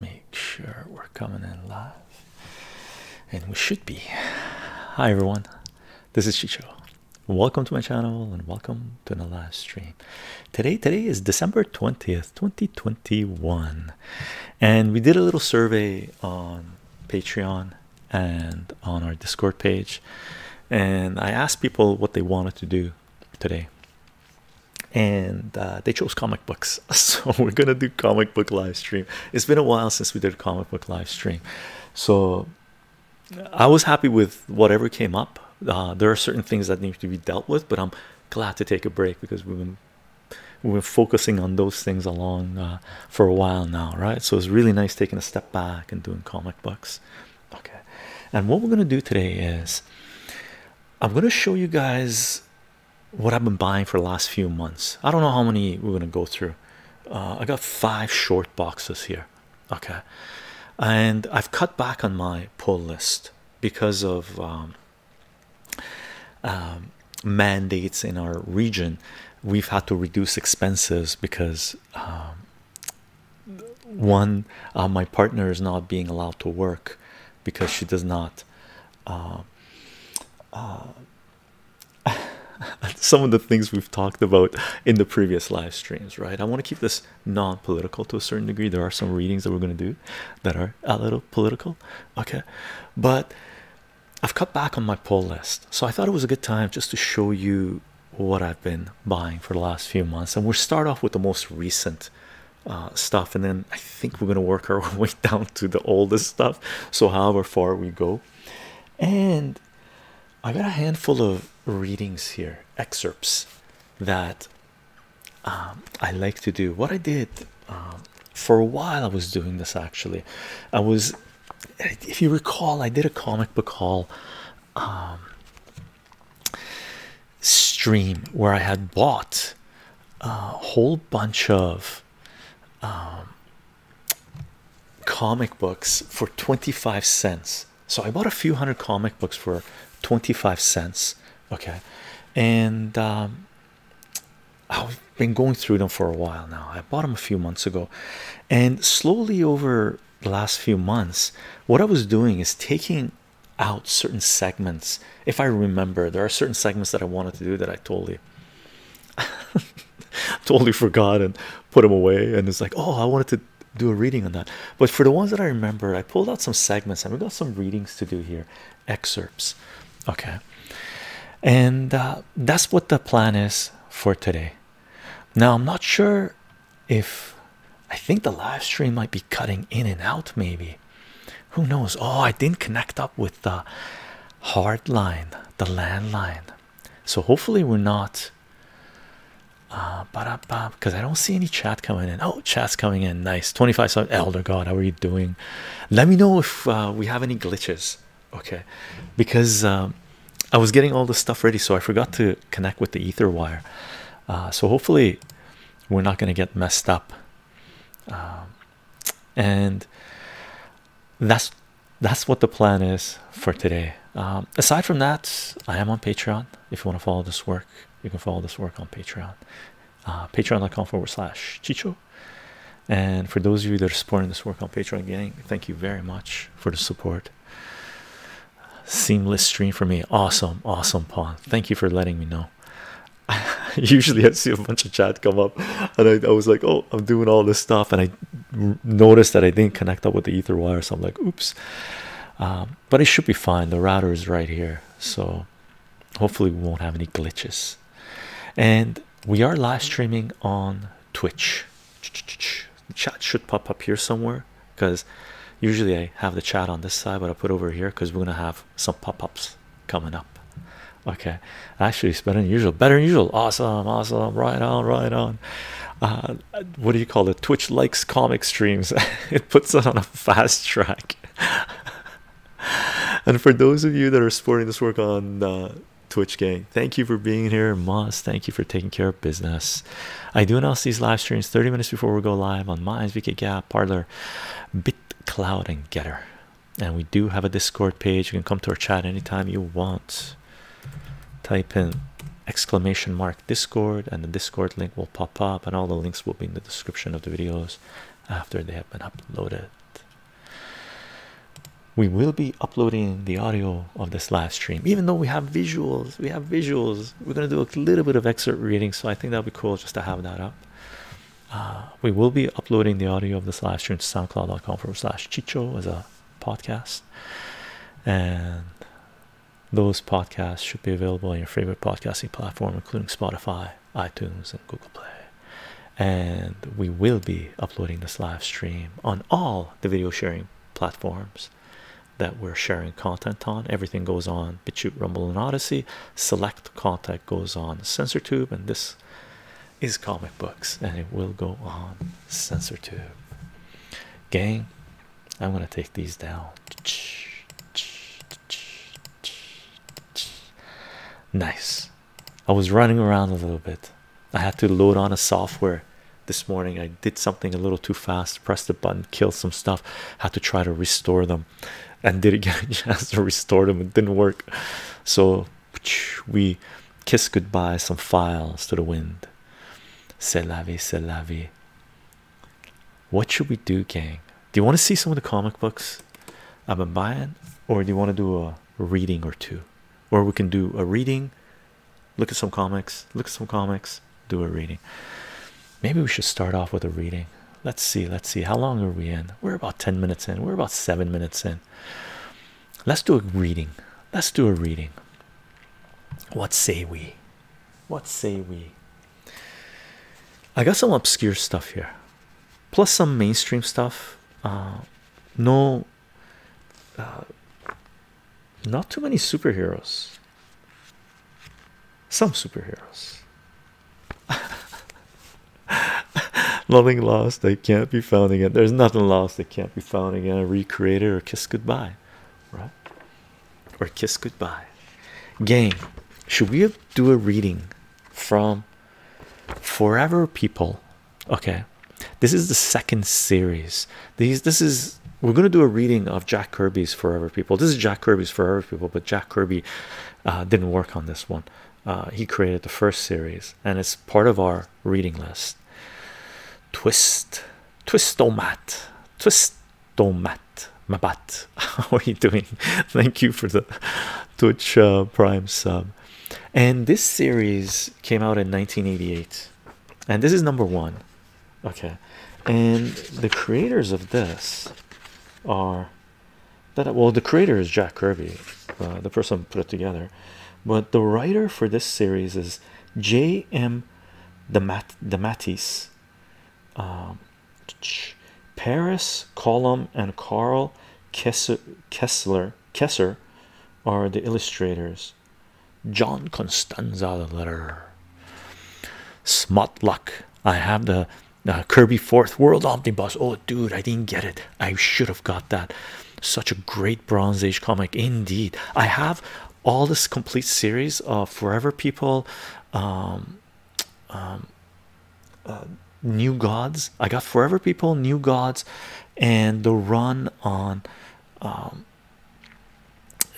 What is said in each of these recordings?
Make sure we're coming in live. And we should be. Hi everyone. This is Chicho. Welcome to my channel and welcome to the live stream. Today, today is December 20th, 2021. And we did a little survey on Patreon and on our Discord page. And I asked people what they wanted to do today and uh, they chose comic books so we're gonna do comic book live stream it's been a while since we did a comic book live stream so i was happy with whatever came up uh, there are certain things that need to be dealt with but i'm glad to take a break because we've been we've been focusing on those things along uh, for a while now right so it's really nice taking a step back and doing comic books okay and what we're gonna do today is i'm gonna show you guys what I've been buying for the last few months. I don't know how many we're gonna go through. Uh, I got five short boxes here, okay, and I've cut back on my pull list because of um, um, mandates in our region. We've had to reduce expenses because um, one, uh, my partner is not being allowed to work because she does not. Uh, uh, some of the things we've talked about in the previous live streams, right? I want to keep this non political to a certain degree. There are some readings that we're going to do that are a little political, okay? But I've cut back on my poll list, so I thought it was a good time just to show you what I've been buying for the last few months. And we'll start off with the most recent uh, stuff, and then I think we're gonna work our way down to the oldest stuff. So however far we go, and I got a handful of readings here, excerpts that um, I like to do. What I did um, for a while, I was doing this actually. I was, if you recall, I did a comic book haul. Um, stream where I had bought a whole bunch of um, comic books for 25 cents. So I bought a few hundred comic books for 25 cents. Okay, and um, I've been going through them for a while now. I bought them a few months ago, and slowly over the last few months, what I was doing is taking out certain segments if I remember, there are certain segments that I wanted to do that I totally, totally forgot and put them away. And it's like, oh, I wanted to do a reading on that. But for the ones that I remember, I pulled out some segments and we got some readings to do here, excerpts. Okay, and uh, that's what the plan is for today. Now I'm not sure if I think the live stream might be cutting in and out, maybe. Who knows? Oh, I didn't connect up with the hard line, the landline. So hopefully we're not uh, because I don't see any chat coming in. Oh, chat's coming in. Nice. 25 sub elder god, how are you doing? Let me know if uh, we have any glitches. Okay, because um, I was getting all this stuff ready, so I forgot to connect with the ether wire. Uh, so hopefully we're not gonna get messed up. Um, and that's that's what the plan is for today. Um, aside from that, I am on Patreon. If you want to follow this work, you can follow this work on Patreon. Uh, patreon.com forward slash Chicho. And for those of you that are supporting this work on Patreon, gang, thank you very much for the support. Seamless stream for me. Awesome, awesome, Paul. Thank you for letting me know. usually I would see a bunch of chat come up, and I, was like, "Oh, I'm doing all this stuff," and I noticed that I didn't connect up with the ether wire, so I'm like, "Oops." Um, but it should be fine. The router is right here, so hopefully we won't have any glitches. And we are live streaming on Twitch. The chat should pop up here somewhere because usually I have the chat on this side, but I put over here because we're gonna have some pop-ups coming up. Okay, actually, it's better than usual. Better than usual. Awesome, awesome. Right on, right on. Uh, what do you call it? Twitch likes comic streams. it puts it on a fast track. and for those of you that are supporting this work on uh, Twitch, gang, thank you for being here, Moss. Thank you for taking care of business. I do announce these live streams 30 minutes before we go live on my SVK Gap, Parlor, BitCloud, and Getter and we do have a discord page you can come to our chat anytime you want type in exclamation mark discord and the discord link will pop up and all the links will be in the description of the videos after they have been uploaded we will be uploading the audio of this last stream even though we have visuals we have visuals we're going to do a little bit of excerpt reading so i think that'll be cool just to have that up uh, we will be uploading the audio of this live stream to soundcloud.com forward slash chicho as a podcast, and those podcasts should be available on your favorite podcasting platform, including Spotify, iTunes, and Google Play. And we will be uploading this live stream on all the video sharing platforms that we're sharing content on. Everything goes on BitChute, Rumble, and Odyssey. Select content goes on SensorTube, and this is comic books, and it will go on censor tube. Gang, I'm gonna take these down. Nice. I was running around a little bit. I had to load on a software this morning. I did something a little too fast, pressed the button, killed some stuff, had to try to restore them, and didn't get a chance to restore them. It didn't work. So we kiss goodbye some files to the wind. C'est la vie, c'est la vie. What should we do, gang? Do you want to see some of the comic books I've been buying, or do you want to do a reading or two? Or we can do a reading, look at some comics, look at some comics, do a reading. Maybe we should start off with a reading. Let's see, let's see. How long are we in? We're about 10 minutes in, we're about seven minutes in. Let's do a reading. Let's do a reading. What say we? What say we? I got some obscure stuff here, plus some mainstream stuff. Uh, no, uh, not too many superheroes. Some superheroes. nothing lost They can't be found again. There's nothing lost They can't be found again. Recreate it or kiss goodbye, right? Or kiss goodbye. Game. Should we do a reading from Forever People? Okay, this is the second series. These, this is we're gonna do a reading of Jack Kirby's Forever People. This is Jack Kirby's Forever People, but Jack Kirby uh, didn't work on this one. Uh, he created the first series and it's part of our reading list. Twist, twistomat, twistomat, mabat. How are you doing? Thank you for the Twitch uh, Prime sub. And this series came out in 1988, and this is number one. Okay, and the creators of this are that uh, well the creator is Jack Kirby, uh, the person put it together, but the writer for this series is J M. The Mat um, Paris, Column, and Carl Kessler Kesser are the illustrators. John Constanza the letter. Smut I have the uh, Kirby Fourth World Omnibus. Oh, dude, I didn't get it. I should have got that. Such a great Bronze Age comic, indeed. I have all this complete series of Forever People, um, um, uh, New Gods. I got Forever People, New Gods, and the run on. Um,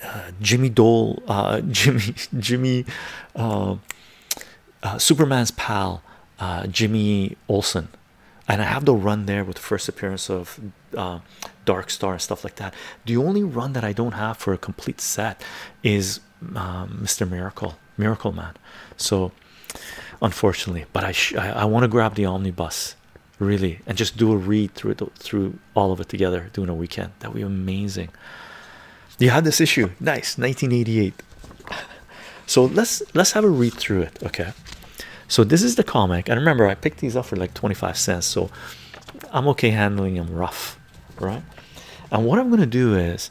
uh, Jimmy Dole, uh, Jimmy, Jimmy, Superman's pal, Jimmy Olsen, and I have the run there with first appearance of uh, Dark Star and stuff like that. The only run that I don't have for a complete set is Mr. Um, Miracle, Miracle Man. So, unfortunately, but I I, want to grab the omnibus really and just do a read through it through all of it together doing a weekend. That would be amazing. You had this issue, nice 1988 so let's let's have a read through it okay so this is the comic and remember i picked these up for like 25 cents so i'm okay handling them rough right and what i'm going to do is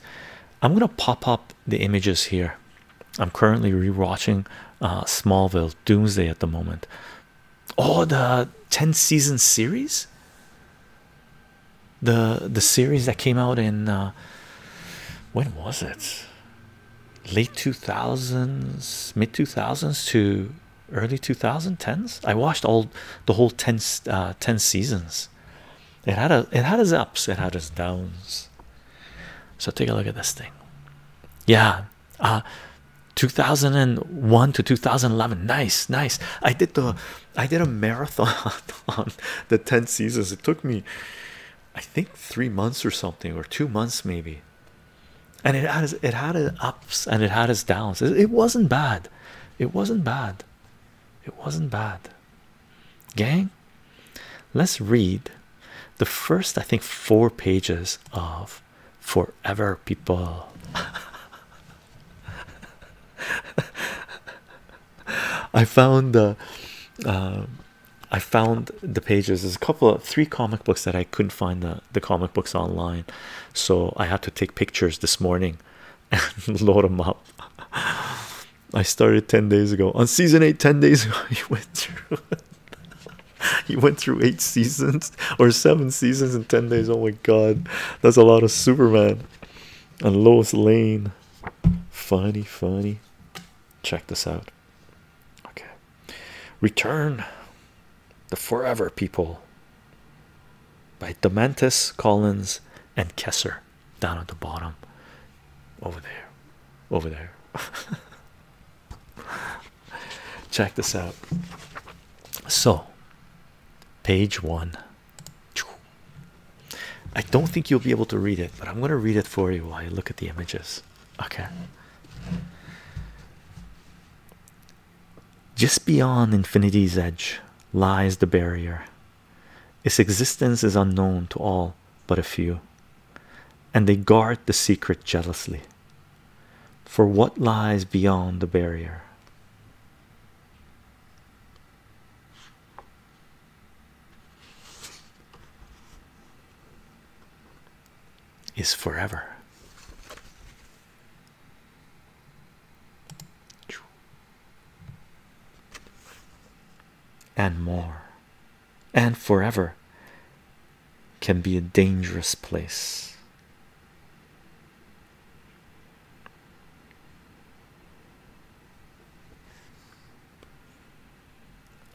i'm going to pop up the images here i'm currently rewatching uh, smallville doomsday at the moment oh the 10 season series the the series that came out in uh, when was it late 2000s mid 2000s to early 2010s i watched all the whole 10 uh, seasons it had it had its ups it had its downs so take a look at this thing yeah uh 2001 to 2011 nice nice i did the i did a marathon on the 10 seasons it took me I think three months or something, or two months maybe. And it had it had its ups and it had its downs. It, wasn't bad. It wasn't bad. It wasn't bad. Gang, let's read the first I think four pages of Forever People. I found the. Uh, I found the pages. There's a couple of three comic books that I couldn't find the, the comic books online, so I had to take pictures this morning and load them up. I started 10 days ago on season 8. 10 days ago, you went through you went through eight seasons or seven seasons in 10 days. Oh my god, that's a lot of Superman and Lois Lane. Funny, funny. Check this out. Okay, return the forever people by Dementis, Collins, and Kesser down at the bottom over there, over there. Check this out. So, page one. I don't think you'll be able to read it, but I'm going to read it for you while you look at the images. Okay. Just beyond infinity's edge lies the barrier. Its existence is unknown to all but a few, and they guard the secret jealously. For what lies beyond the barrier? is forever. And more and forever can be a dangerous place.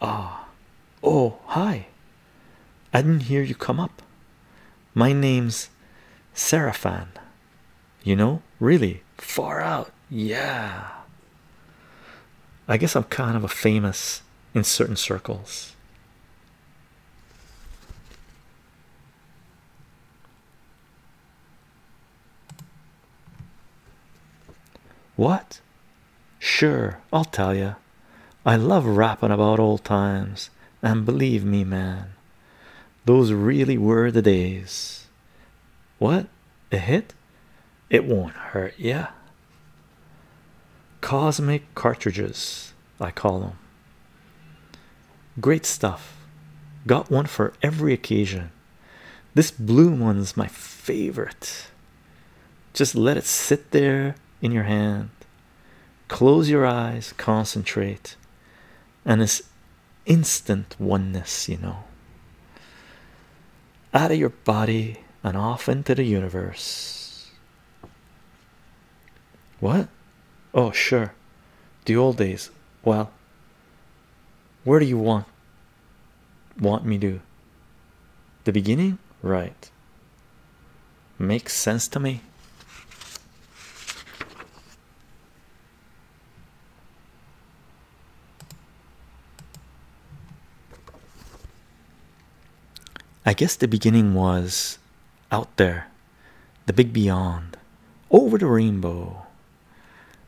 Ah, oh, hi. I didn't hear you come up. My name's Seraphan. You know, really far out. Yeah. I guess I'm kind of a famous in certain circles. What? Sure, I'll tell you. I love rapping about old times, and believe me, man, those really were the days. What? A hit? It won't hurt yeah. Cosmic cartridges, I call them. Great stuff. Got one for every occasion. This blue one's my favorite. Just let it sit there in your hand. Close your eyes, concentrate, and this instant oneness, you know. Out of your body and off into the universe. What? Oh, sure. The old days. Well, where do you want want me to the beginning right makes sense to me I guess the beginning was out there, the big beyond, over the rainbow.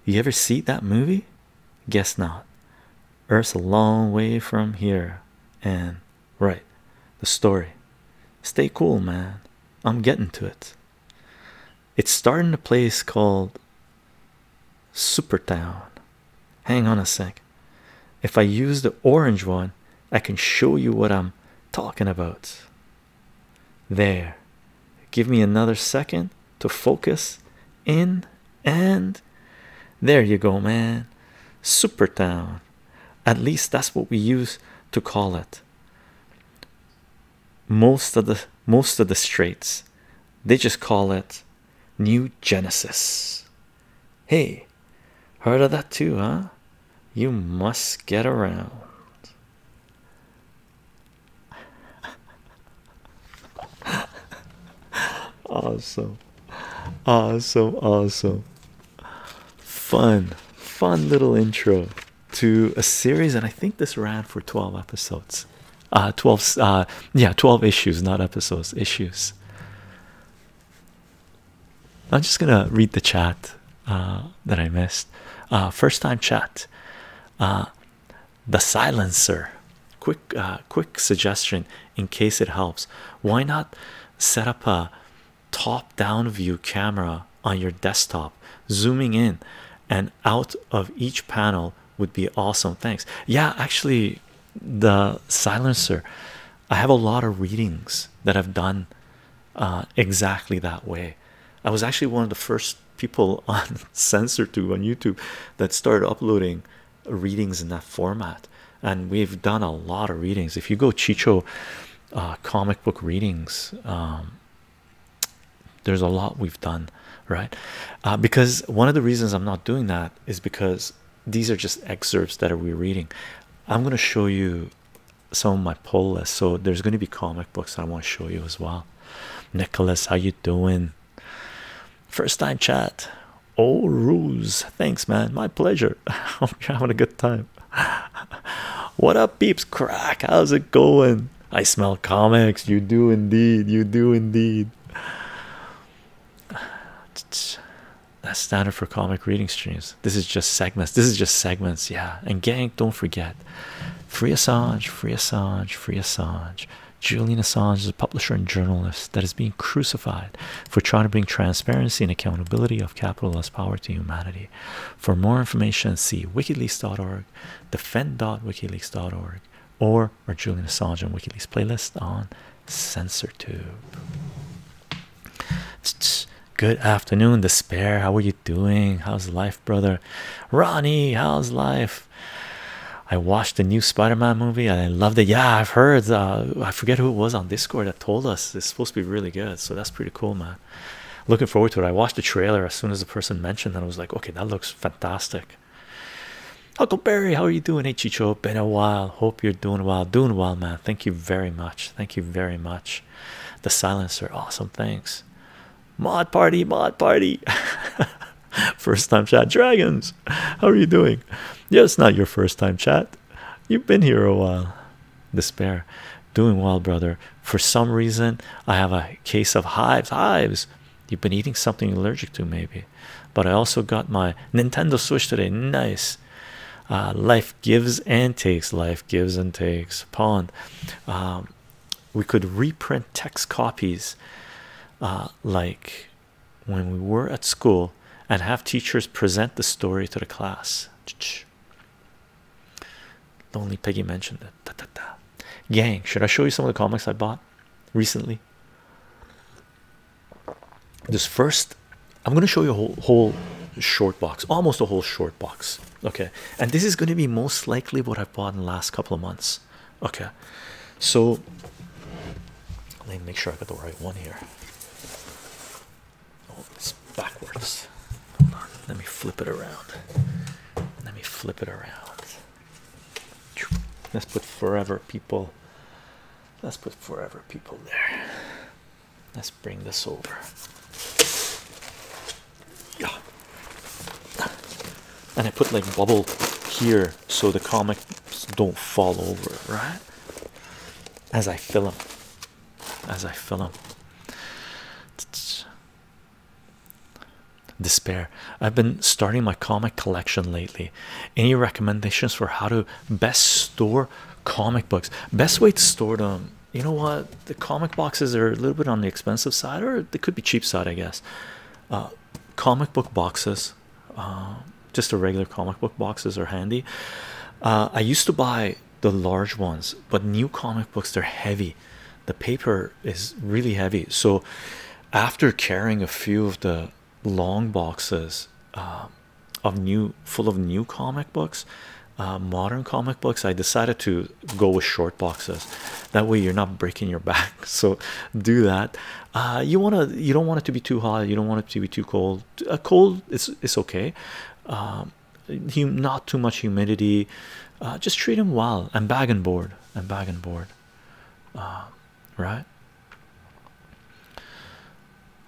You ever see that movie? Guess not. Earth's a long way from here, and right, the story. Stay cool, man. I'm getting to it. It's starting a place called Supertown. Hang on a sec. If I use the orange one, I can show you what I'm talking about. There. Give me another second to focus in and there you go, man. Super town. At least that's what we used to call it. Most of the most of the straits, they just call it New Genesis. Hey, heard of that too, huh? You must get around awesome, awesome, awesome. Fun, fun little intro to a series, and I think this ran for 12 episodes. Uh, 12, uh, yeah, 12 issues, not episodes, issues. I'm just gonna read the chat uh, that I missed. first time chat. the silencer quick uh, quick suggestion in case it helps why not set up a top down view camera on your desktop zooming in and out of each panel would be awesome thanks yeah actually the silencer i have a lot of readings that i've done uh, exactly that way i was actually one of the first people on censored to on youtube that started uploading readings in that format and we've done a lot of readings if you go chicho uh, comic book readings um, there's a lot we've done right uh, because one of the reasons i'm not doing that is because these are just excerpts that are we reading i'm going to show you some of my pull list so there's going to be comic books i want to show you as well nicholas how you doing First time chat. Oh, rules. Thanks, man. My pleasure. I'm having a good time. what up, peeps? Crack. How's it going? I smell comics. You do indeed. You do indeed. That's standard for comic reading streams. This is just segments. This is just segments. Yeah. And gang, don't forget. Free Assange, free Assange, free Assange. Julian Assange is a publisher and journalist that is being crucified for trying to bring transparency and accountability of capitalist power to humanity. For more information, see wikileaks.org, defend.wikileaks.org, or our Julian Assange on WikiLeaks playlist on CensorTube. Good afternoon, Despair. How are you doing? How's life, brother? Ronnie, how's life? I watched the new Spider-Man movie and I loved it. Yeah, I've heard. Uh, I forget who it was on Discord that told us it's supposed to be really good. So that's pretty cool, man. Looking forward to it. I watched the trailer as soon as the person mentioned it. I was like, okay, that looks fantastic. Huckleberry, how are you doing? Hey, Chicho, been a while. Hope you're doing well. Doing well, man. Thank you very much. Thank you very much. The silencer, awesome. Thanks. Mod party, mod party. First time shot dragons. How are you doing? Yeah, it's not your first time, chat. You've been here a while. Despair. Doing well, brother. For some reason, I have a case of hives. Hives. You've been eating something allergic to, maybe. But I also got my Nintendo Switch today. Nice. Uh, life gives and takes. Life gives and takes. Pawn. Um, we could reprint text copies uh, like when we were at school and have teachers present the story to the class. Lonely Peggy mentioned it. Gang, should I show you some of the comics I bought recently? This first, I'm going to show you a whole, whole short box, almost a whole short box. Okay, and this is going to be most likely what I bought in the last couple of months. Okay, so let me make sure I got the right one here. Oh, it's backwards. Hold on, let me flip it around. Let me flip it around. Let's put forever people. Let's put forever people there. Let's bring this over. Yeah. And I put like bubble here so the comics don't fall over, right? As I fill them, as I fill them. Despair. I've been starting my comic collection lately. Any recommendations for how to best store comic books? Best way to store them. You know what? The comic boxes are a little bit on the expensive side, or they could be cheap side, I guess. Uh, comic book boxes um, just the regular comic book boxes are handy. Uh, I used to buy the large ones, but new comic books they're heavy. The paper is really heavy, so after carrying a few of the long boxes um, of new, full of new comic books, uh, modern comic books, I decided to go with short boxes. That way, you're not breaking your back. So do that. Uh, you want to you don't want it to be too hot you don't want it to be too cold a cold is it's okay um, not too much humidity uh, just treat him well and bag and board and bag and board uh, right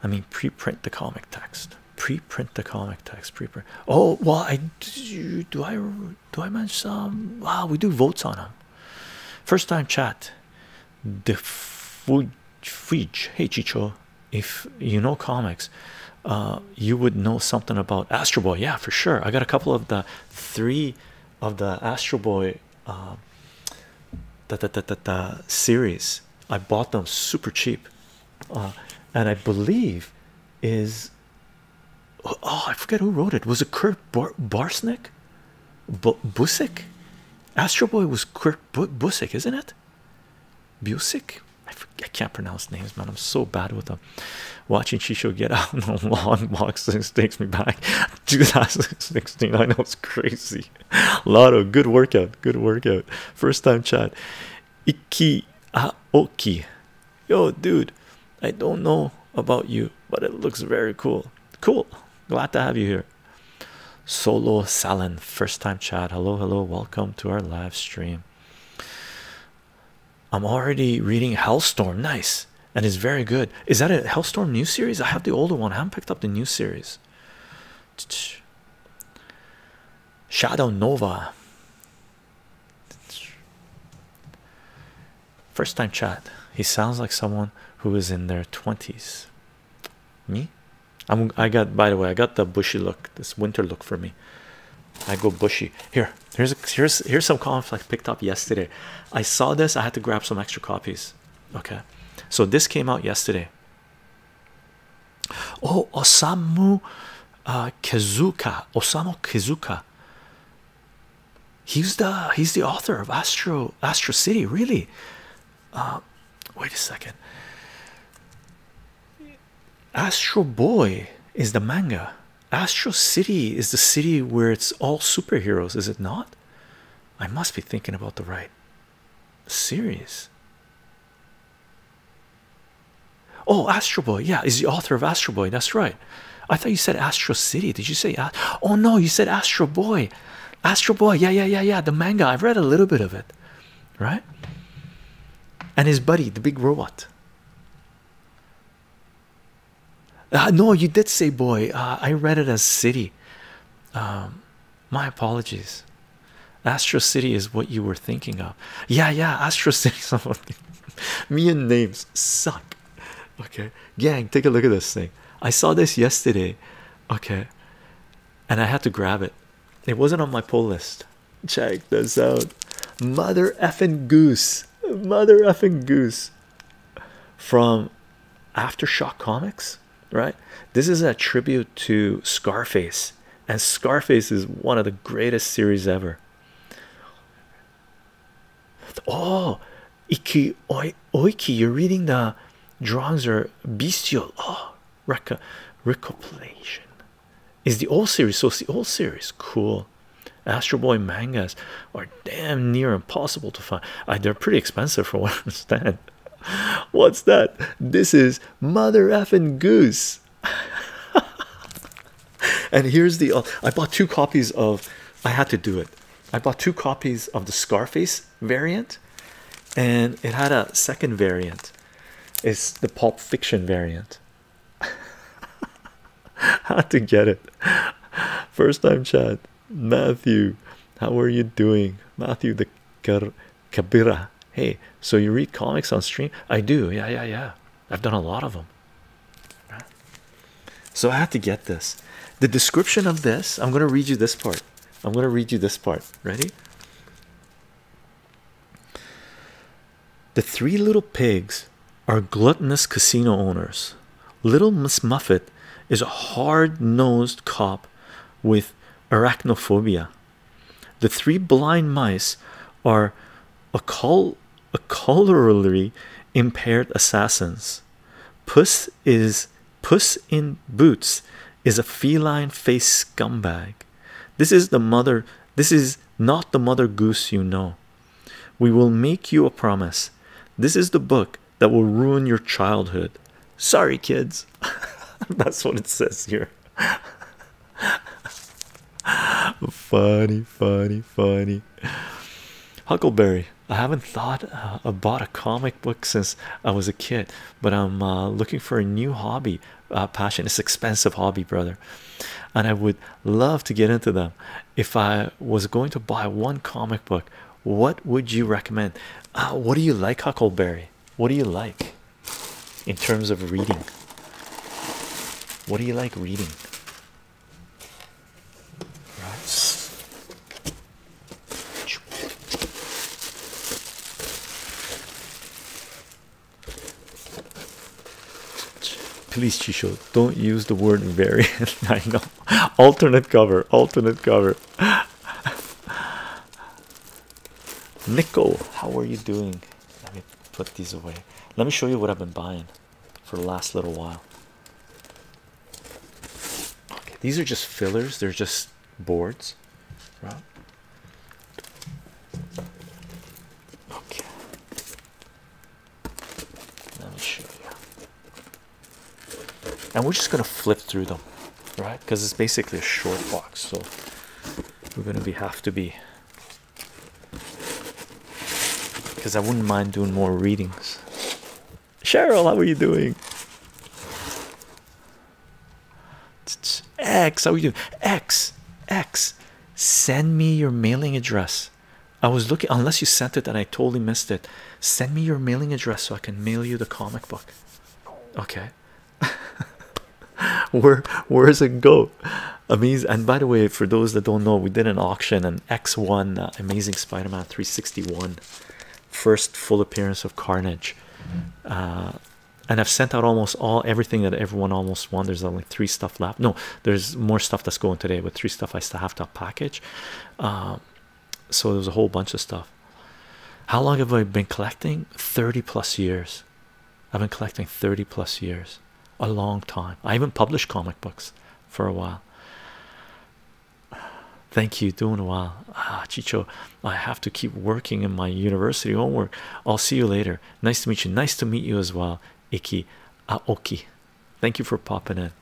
I mean pre-print the comic text pre-print the comic text pre-print oh well I do, I do I mention um, wow we do votes on them first time chat the Fuge, hey Chicho, if you know comics, uh, you would know something about Astro Boy. Yeah, for sure. I got a couple of the three of the Astro Boy uh, the, the, the, the, series. I bought them super cheap, uh, and I believe is oh I forget who wrote it. Was it Kurt Bar Barsnick? B Busick? Astro Boy was Kurt Kurt isn't it? Busick? I, can't pronounce names, man. I'm so bad with them. Watching Shisho get out on the lawn boxes takes me back 2016. I know it's crazy. Lotto, good workout. Good workout. First time chat. Iki Aoki. Ah, Yo, dude, I don't know about you, but it looks very cool. Cool. Glad to have you here. Solo Salen, first time chat. Hello, hello. Welcome to our live stream. I'm already reading Hellstorm. Nice. And it's very good. Is that a Hellstorm new series? I have the older one. I haven't picked up the new series. Shadow Nova. First time chat. He sounds like someone who is in their 20s. Me? i got by the way, I got the bushy look, this winter look for me. I go bushy. Here, here's here's here's some comics I picked up yesterday. I saw this, I had to grab some extra copies. Okay. So this came out yesterday. Oh, Osamu uh, Kizuka, Osamu Kizuka. He's the he's the author of Astro Astro City, really. Uh, wait a second. Astro Boy is the manga. Astro City is the city where it's all superheroes, is it not? I must be thinking about the right series. Oh, Astro Boy, yeah, is the author of Astro Boy. That's right. I thought you said Astro City. Did you say? Oh no, you said Astro Boy. Astro Boy, yeah, yeah, yeah, yeah. The manga, I've read a little bit of it, right? And his buddy, the big robot. Uh, no, you did say boy. Uh, I read it as city. Um, my apologies. Astro City is what you were thinking of. Yeah, yeah, Astro City. Me and names suck. Okay, gang, take a look at this thing. I saw this yesterday. Okay, and I had to grab it. It wasn't on my pull list. Check this out. Mother effing goose. Mother effing goose from Aftershock Comics, right? This is a tribute to Scarface, and Scarface is one of the greatest series ever. Oh, Iki Oiki, you're reading the drawings are bestial. Oh, reco recopilation is the old series so it's the old series cool astro boy mangas are damn near impossible to find they're pretty expensive for what i understand what's that this is mother effing goose and here's the uh, i bought two copies of i had to do it i bought two copies of the scarface variant and it had a second variant it's the pulp fiction variant how to get it first time chat matthew how are you doing matthew the Cabira. hey so you read comics on stream i do yeah yeah yeah i've done a lot of them so i had to get this the description of this i'm going to read you this part I'm going to read you this part. Ready? The three little pigs are gluttonous casino owners. Little Miss Muffet is a hard nosed cop with arachnophobia. The three blind mice are a colorally impaired assassins. Puss is Puss in Boots is a feline face scumbag. This is the mother, this is not the mother goose you know. We will make you a promise. This is the book that will ruin your childhood. Sorry, kids. That's what it says here. funny, funny, funny. Huckleberry, I haven't thought uh, about a comic book since I was a kid but i'm uh, looking for a new hobby uh, passion it's expensive hobby brother and i would love to get into them if i was going to buy one comic book what would you recommend uh, what do you like huckleberry what do you like in terms of reading what do you like reading right Please, Chisho, don't use the word variant. I know. Alternate cover, alternate cover. Nico, how are you doing? Let me put these away. Let me show you what I've been buying for the last little while. these are just fillers, they're just boards, right? Okay, let me show you. And we're just gonna flip through them, right? Because it's basically a short box, so we're gonna be have to be. Because I wouldn't mind doing more readings. Cheryl, how are you doing? X, how are you doing? X, X, send me your mailing address. I was looking, unless you sent it and I totally missed it. Send me your mailing address so I can mail you the comic book. Okay. Where where does it go? Amazing. And by the way, for those that don't know, we did an auction and X one uh, Amazing Spider-Man 361, first full appearance of Carnage, uh, and I've sent out almost all everything that everyone almost won. There's only uh, three stuff left. No, there's more stuff that's going today, With three stuff I still have to package. Um, so there's a whole bunch of stuff. How long have I been collecting? 30 plus years. I've been collecting 30 plus years, a long time. I even published comic books for a while. Thank you, doing well. Ah, Chicho, I have to keep working in my university homework. I'll see you later. Nice to meet you. Nice to meet you as well, Iki Aoki. Thank you for popping in.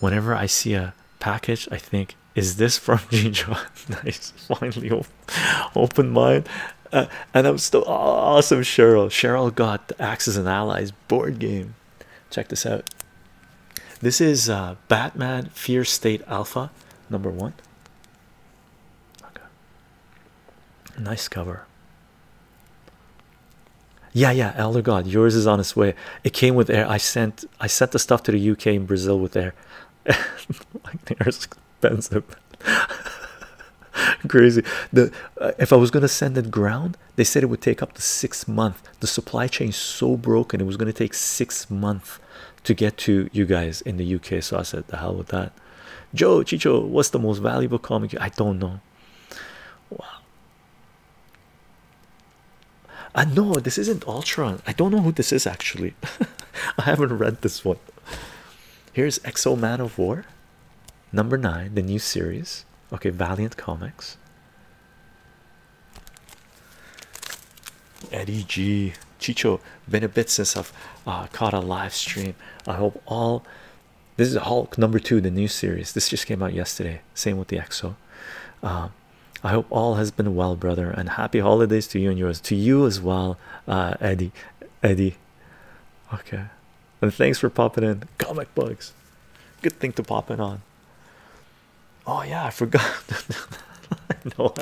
Whenever I see a package, I think, is this from Jinjo? nice, finally open mine. Uh, and I'm still awesome, Cheryl. Cheryl got the Axis and Allies board game. Check this out. This is uh, Batman Fear State Alpha number one. Okay, nice cover. Yeah, yeah, Elder God, yours is on its way. It came with air. I sent I sent the stuff to the UK and Brazil with air. like they're expensive. Crazy. The uh, if I was gonna send it ground, they said it would take up to six months the supply chain is so broken it was going to take six months to get to you guys in the uk so i said the hell with that joe chicho what's the most valuable comic i don't know wow i uh, know this isn't ultron i don't know who this is actually i haven't read this one here's exo man of war number nine the new series okay valiant comics Eddie G. Chicho, been a bit since I've caught uh, a live stream. I hope all this is Hulk number two, the new series. This just came out yesterday. Same with the EXO. Um, I hope all has been well, brother, and happy holidays to you and yours. To you as well, uh, Eddie. Eddie, okay. And thanks for popping in. Comic bugs, good thing to pop in on. Oh yeah, I forgot. no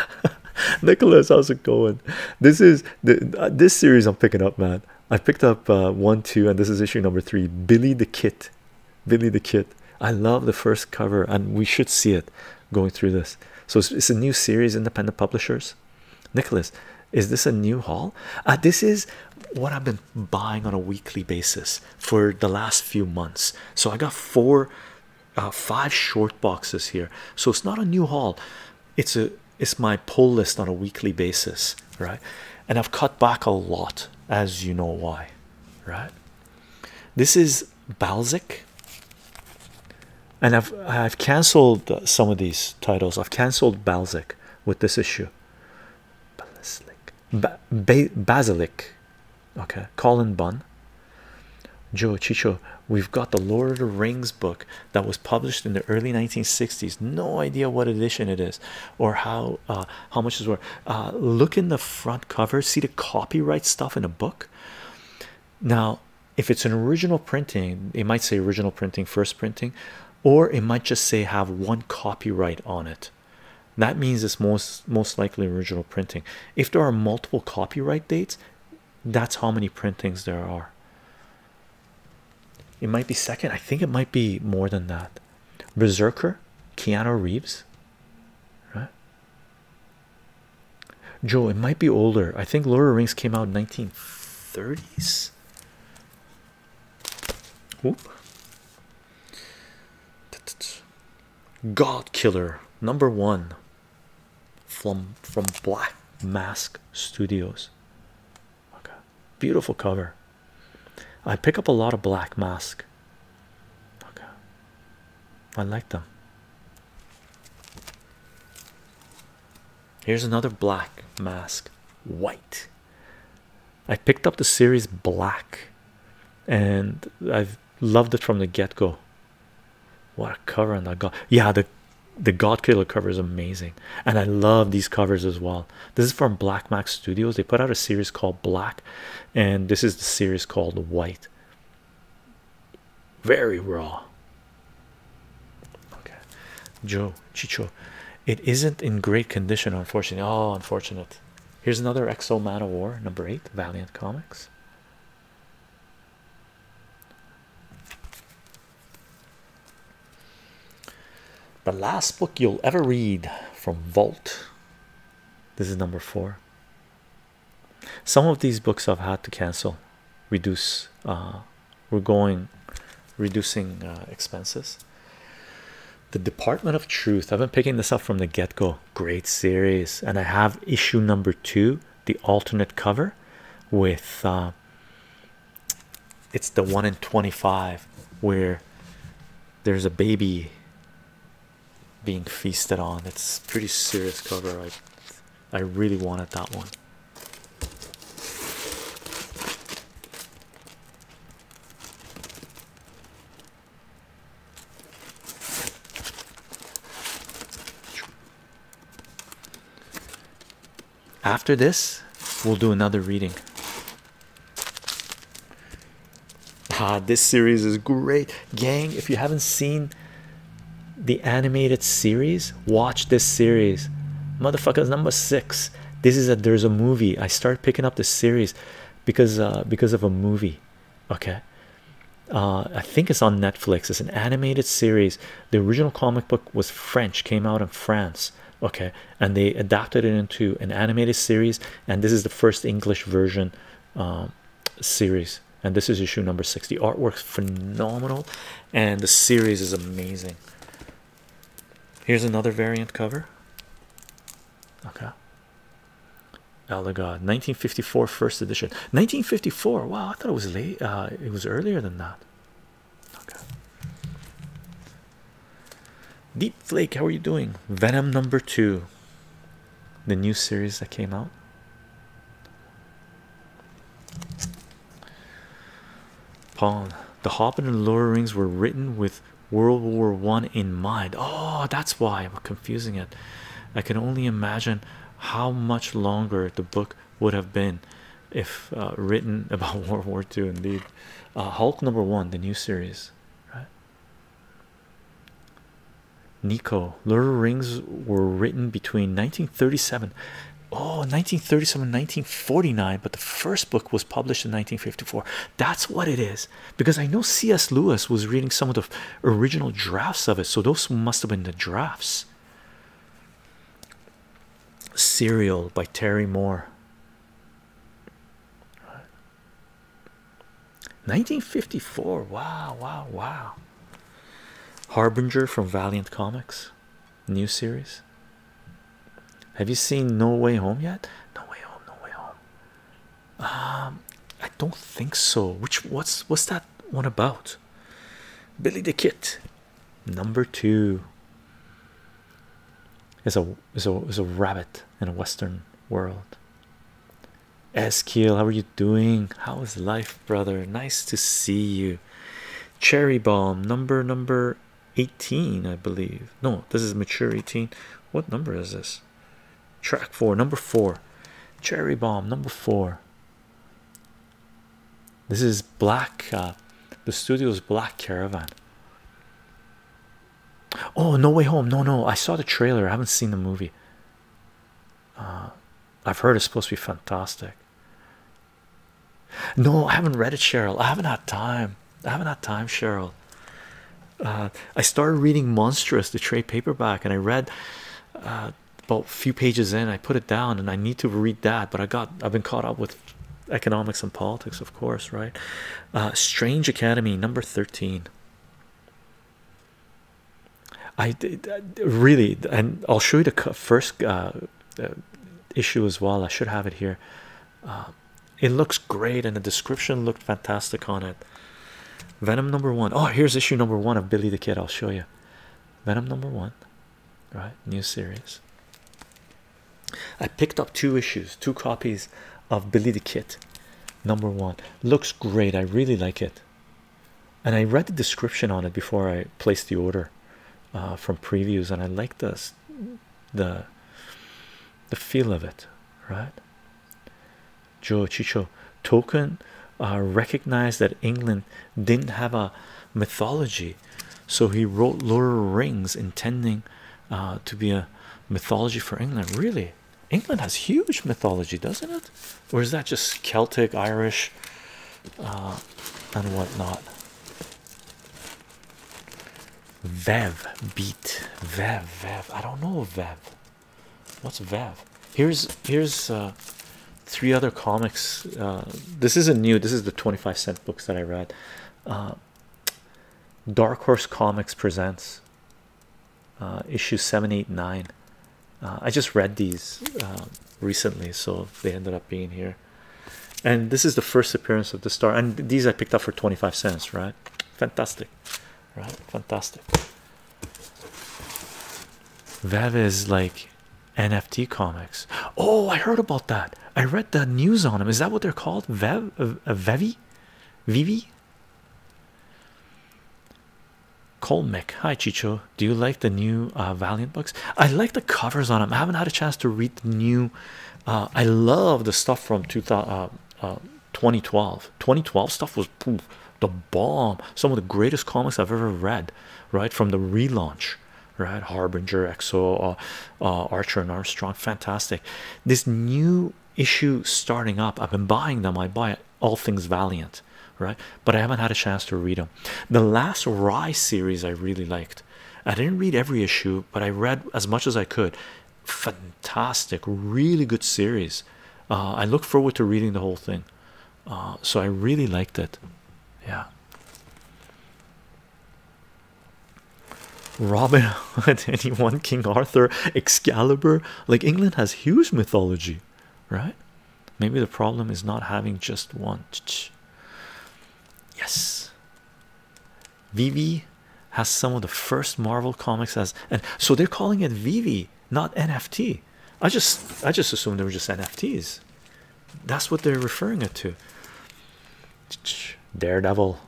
Nicholas, how's it going? This is the uh, this series I'm picking up, man. I picked up uh, one, two, and this is issue number three. Billy the Kid, Billy the Kid. I love the first cover, and we should see it going through this. So it's, a new series, independent publishers. Nicholas, is this a new haul? Uh, this is what I've been buying on a weekly basis for the last few months. So I got four, uh, five short boxes here. So it's not a new haul. It's a it's my pull list on a weekly basis, right? And I've cut back a lot, as you know why, right? This is Balzac. And I've I've canceled some of these titles. I've canceled Balzac with this issue. Ballistic basilic okay colin bunn joe chicho we've got the lord of the rings book that was published in the early 1960s no idea what edition it is or how uh, how much it's worth uh, look in the front cover see the copyright stuff in a book now if it's an original printing it might say original printing first printing or it might just say have one copyright on it that means it's most most likely original printing if there are multiple copyright dates that's how many printings there are it might be second i think it might be more than that berserker keanu reeves right joe it might be older i think lord of rings came out in 1930s God Killer number one from from Black Mask Studios. beautiful cover. I pick up a lot of Black Mask. I like them. Here's another Black Mask white. I picked up the series black and I've loved it from the get-go what a cover on that god yeah the the god killer cover is amazing and i love these covers as well this is from black max studios they put out a series called black and this is the series called white very raw okay joe chicho it isn't in great condition unfortunately oh unfortunate here's another exo man of war number eight valiant comics the last book you'll ever read from Vault. This is number four. Some of these books I've had to cancel, reduce. Uh, we're going reducing uh, expenses. The Department of Truth. I've been picking this up from the get go great series and i have issue number two the alternate cover with uh, it's the one in 25 where there's a baby being feasted on it's pretty serious cover i i really wanted that one after this, we'll do another reading. Ah, this series is great, gang. If you haven't seen the animated series, watch this series. Motherfuckers, number six. This is that. there's a movie. I start picking up the series because uh, because of a movie. Okay, uh, I think it's on Netflix. It's an animated series. The original comic book was French, came out in France, okay, and they adapted it into an animated series. And this is the first English version um, series. And this is issue number six. The artwork's phenomenal, and the series is amazing. Here's another variant cover. Okay, Elder 1954 first edition 1954 wow I thought it was late uh, it was earlier than that okay deep how are you doing Venom number two the new series that came out Pawn the Hobbit and Lord of Rings were written with World War One in mind oh that's why I'm confusing it I can only imagine how much longer the book would have been if uh, written about World War II. Indeed, uh, Hulk number one, the new series, Nico, Lord Rings were written between 1937. Oh, 1937, 1949, but the first book was published in 1954. That's what it is because I know C.S. Lewis was reading some of the original drafts of it, so those must have been the drafts. Serial by Terry Moore. 1954. Wow, wow, wow. Harbinger from Valiant Comics. New series. Have you seen No Way Home yet? No Way Home, No Way Home. Um, I don't think so. Which what's what's that one about? Billy the Kid, number two. Is a is a is a rabbit in a Western world. Eskil, how are you doing? How is life, brother? Nice to see you. Cherry bomb number number 18, I believe. No, this is mature 18. What number is this? Track four, number four, Cherry Bomb, number four. This is Black, uh, the studio's Black Caravan. Oh, No Way Home. No, no, I saw the trailer, I haven't seen the movie. Uh, I've heard it's supposed to be fantastic. No, I haven't read it, Cheryl. I haven't had time. I haven't had time, Cheryl. Uh, I started reading Monstrous, the trade paperback, and I read about a few pages in, I put it down and I need to read that, but I got I've been caught up with economics and politics, of course, right? Uh, Strange Academy number 13. I did really, and I'll show you the first uh, uh, issue as well. I should have it here. it looks great, and the description looked fantastic on it. Venom number one. Oh, here's issue number one of Billy the Kid. I'll show you. Venom number one, right? New series. I picked up two issues, two copies of Billy the Kid number one. Looks great. I really like it. And I read the description on it before I placed the order uh, from previews, and I like this the the feel of it, right? Joe Chicho token uh, recognized that England didn't have a mythology, so he wrote Lord of the Rings intending uh, to be a mythology for England. Really, England has huge mythology, doesn't it? Or is that just Celtic, Irish, uh, and whatnot? Vev beat Vev Vev. I don't know Vev. What's Vav? Here's here's uh, three other comics. Uh, this isn't new. This is the twenty five cent books that I read. Uh, Dark Horse Comics presents issue seven eight nine. I just read these recently, so they ended up being here. And this is the first appearance of the star. And these I picked up for 25 cents, right? Fantastic, right? Fantastic. Vev is like NFT comics. Oh, I heard about that. I read the news on them. Is that what they're called? Vev, uh, Vevi, Vivi. Colmic, hi Chicho. Do you like the new uh, Valiant books? I like the covers on them. I haven't had a chance to read the new. Uh, I love the stuff from 2000, 2012. 2012 stuff was poof, bomb some of the greatest comics i've ever read right from the relaunch right harbinger exo uh, uh, archer and armstrong fantastic this new issue starting up i've been buying them i buy all things valiant right but i haven't had a chance to read them the last rye series i really liked i didn't read every issue but i read as much as i could fantastic really good series uh, i look forward to reading the whole thing uh, so I really liked it. Yeah, Robin Hood, anyone, King Arthur, Excalibur. Like England has huge mythology, right? Maybe the problem is not having just one. Yes, Vivi has some of the first Marvel comics as, and so they're calling it Vivi not nft i just i just assumed they were just nfts that's what they're referring it to daredevil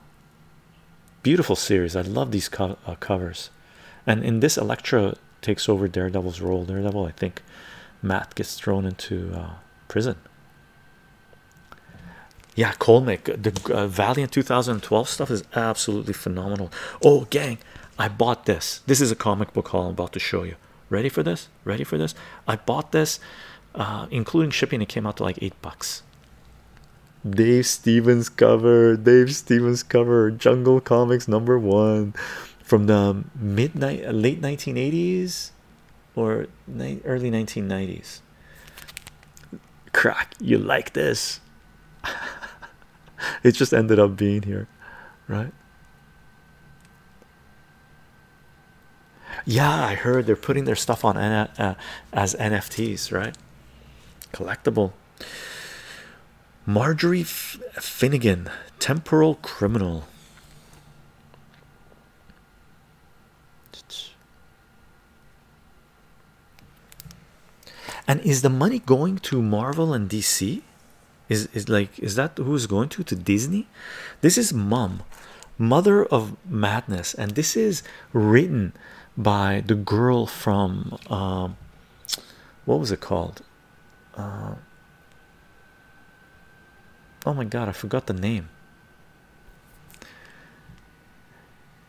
beautiful series i love these uh, covers and in this electra takes over daredevil's role daredevil i think matt gets thrown into uh, prison yeah colmick the uh, valiant 2012 stuff is absolutely phenomenal oh gang I bought this. This is a comic book haul I'm about to show you. Ready for this? Ready for this? I bought this, uh, including shipping, it came out to like eight bucks. Dave Stevens cover, Dave Stevens cover, Jungle Comics number one from the midnight, uh, late 1980s or early 1990s. Crack, you like this? it just ended up being here, right? Yeah, I heard they're putting their stuff on uh, as NFTs, right? Collectible. Marjorie Finnegan, temporal criminal. And is the money going to Marvel and DC? Is is like is that who's going to to Disney? This is mom, Mother of Madness, and this is written by the girl from um, what was it called? Uh, oh my God, I forgot the name.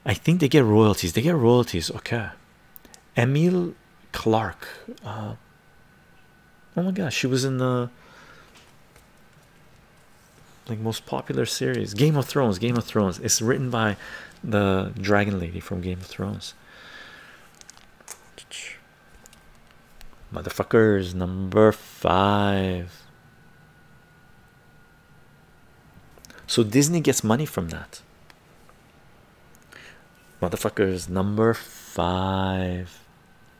I think they get royalties. They get royalties. Okay, Emil Clark. Uh, Oh my gosh, she was in the like most popular series, Game of Thrones. Game of Thrones. It's written by the Dragon Lady from Game of Thrones. Motherfuckers, number five. So Disney gets money from that. Motherfuckers, number five.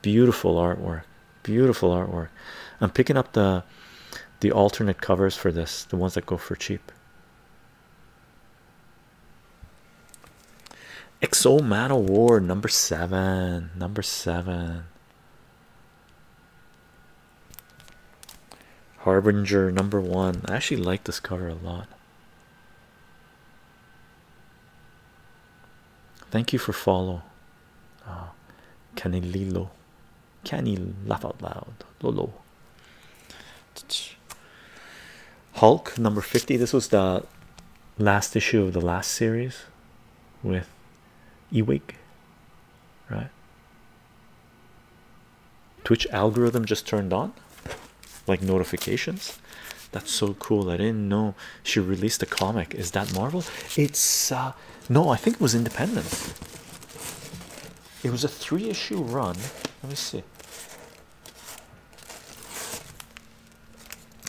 Beautiful artwork. Beautiful artwork. I'm picking up the the alternate covers for this, the ones that go for cheap. Exo Man of War number seven. Number seven. Harbinger number one. I actually like this cover a lot. Thank you for follow, uh, ah, Canililo. Can you laugh out loud? Lolo. Hulk number 50. This was the last issue of the last series with Ewig, right? Twitch algorithm just turned on like notifications. That's so cool. I didn't know she released a comic. Is that Marvel? It's uh, no, I think it was independent. It was a three issue run. Let me see.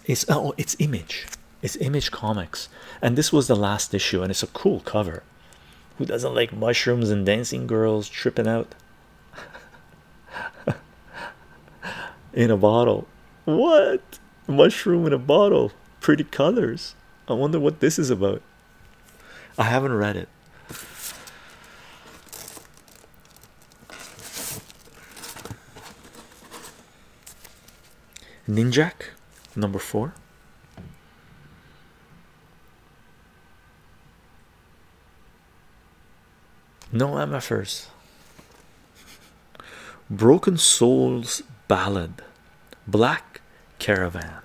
It's oh, oh, it's Image. It's Image Comics, and this was the last issue, and it's a cool cover. Who doesn't like mushrooms and dancing girls tripping out? in a bottle. What mushroom in a bottle? Pretty colors. I wonder what this is about. I haven't read it. Ninjak, number four. No MFers. Broken Souls Ballad. Black Caravan.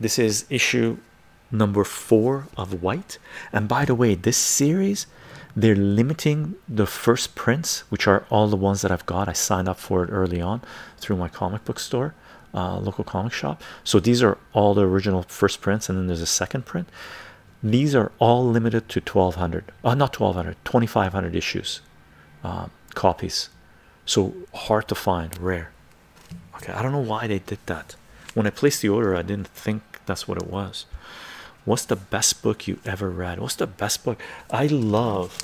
This is issue number four of White. And by the way, this series they're limiting the first prints, which are all the ones that I've got. I signed up for it early on through my comic book store, uh, local comic shop. So these are all the original first prints, and then there's a second print. These are all limited to 1200, uh, not 1200, 2500 issues, uh, copies. So hard to find, rare. Okay, I don't know why they did that. When I placed the order, I didn't think that's what it was. What's the best book you ever read? What's the best book? I love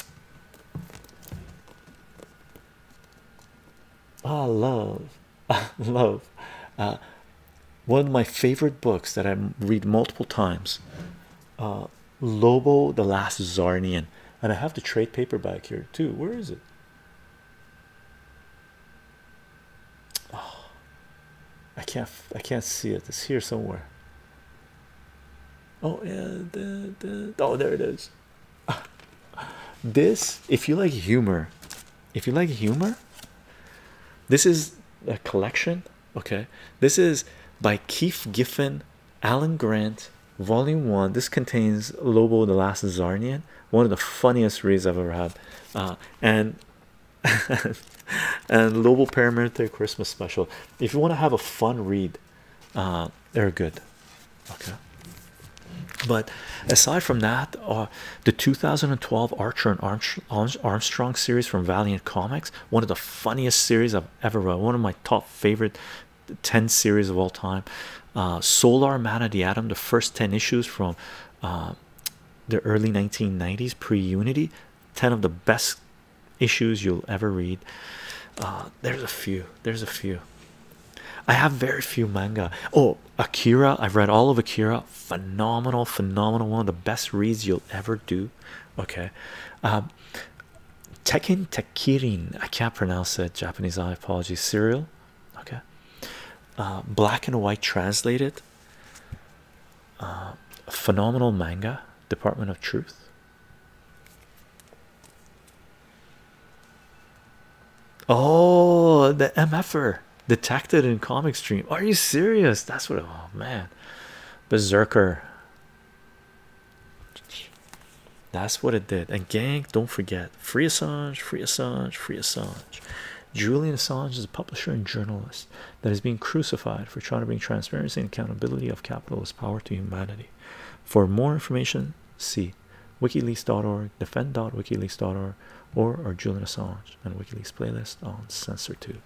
Ah, love, ah, love. Uh, one of my favorite books that I read multiple times. Uh, Lobo, the Last Zarnian, and I have the trade paperback here too. Where is it? Oh, I can't. I can't see it. It's here somewhere. Oh yeah, the, the, oh there it is this if you like humor if you like humor this is a collection okay this is by keith giffen alan grant volume one this contains lobo the last zarnian one of the funniest reads i've ever had uh, and and lobo paramilitary christmas special if you want to have a fun read uh, they're good okay but aside from that uh, the 2012 archer and armstrong, series from valiant comics one of the funniest series i've ever read one of my top favorite 10 series of all time uh, solar man of the atom the first 10 issues from uh, the early 1990s pre-unity 10 of the best issues you'll ever read there's a few there's a few i have very few manga oh akira i've read all of akira phenomenal phenomenal one of the best reads you'll ever do okay um tekken takirin i can't pronounce it japanese i apologize. serial okay uh, black and white translated uh, phenomenal manga department of truth Oh, the MFer detected in comic stream. Are you serious? That's what. Oh man, berserker. That's what it did. And gang, don't forget, free Assange, free Assange, free Assange. Julian Assange is a publisher and journalist that is being crucified for trying to bring transparency and accountability of capitalist power to humanity. For more information, see wikileaks.org defend.wikileaks.org or our julian assange and wikileaks playlist on censortube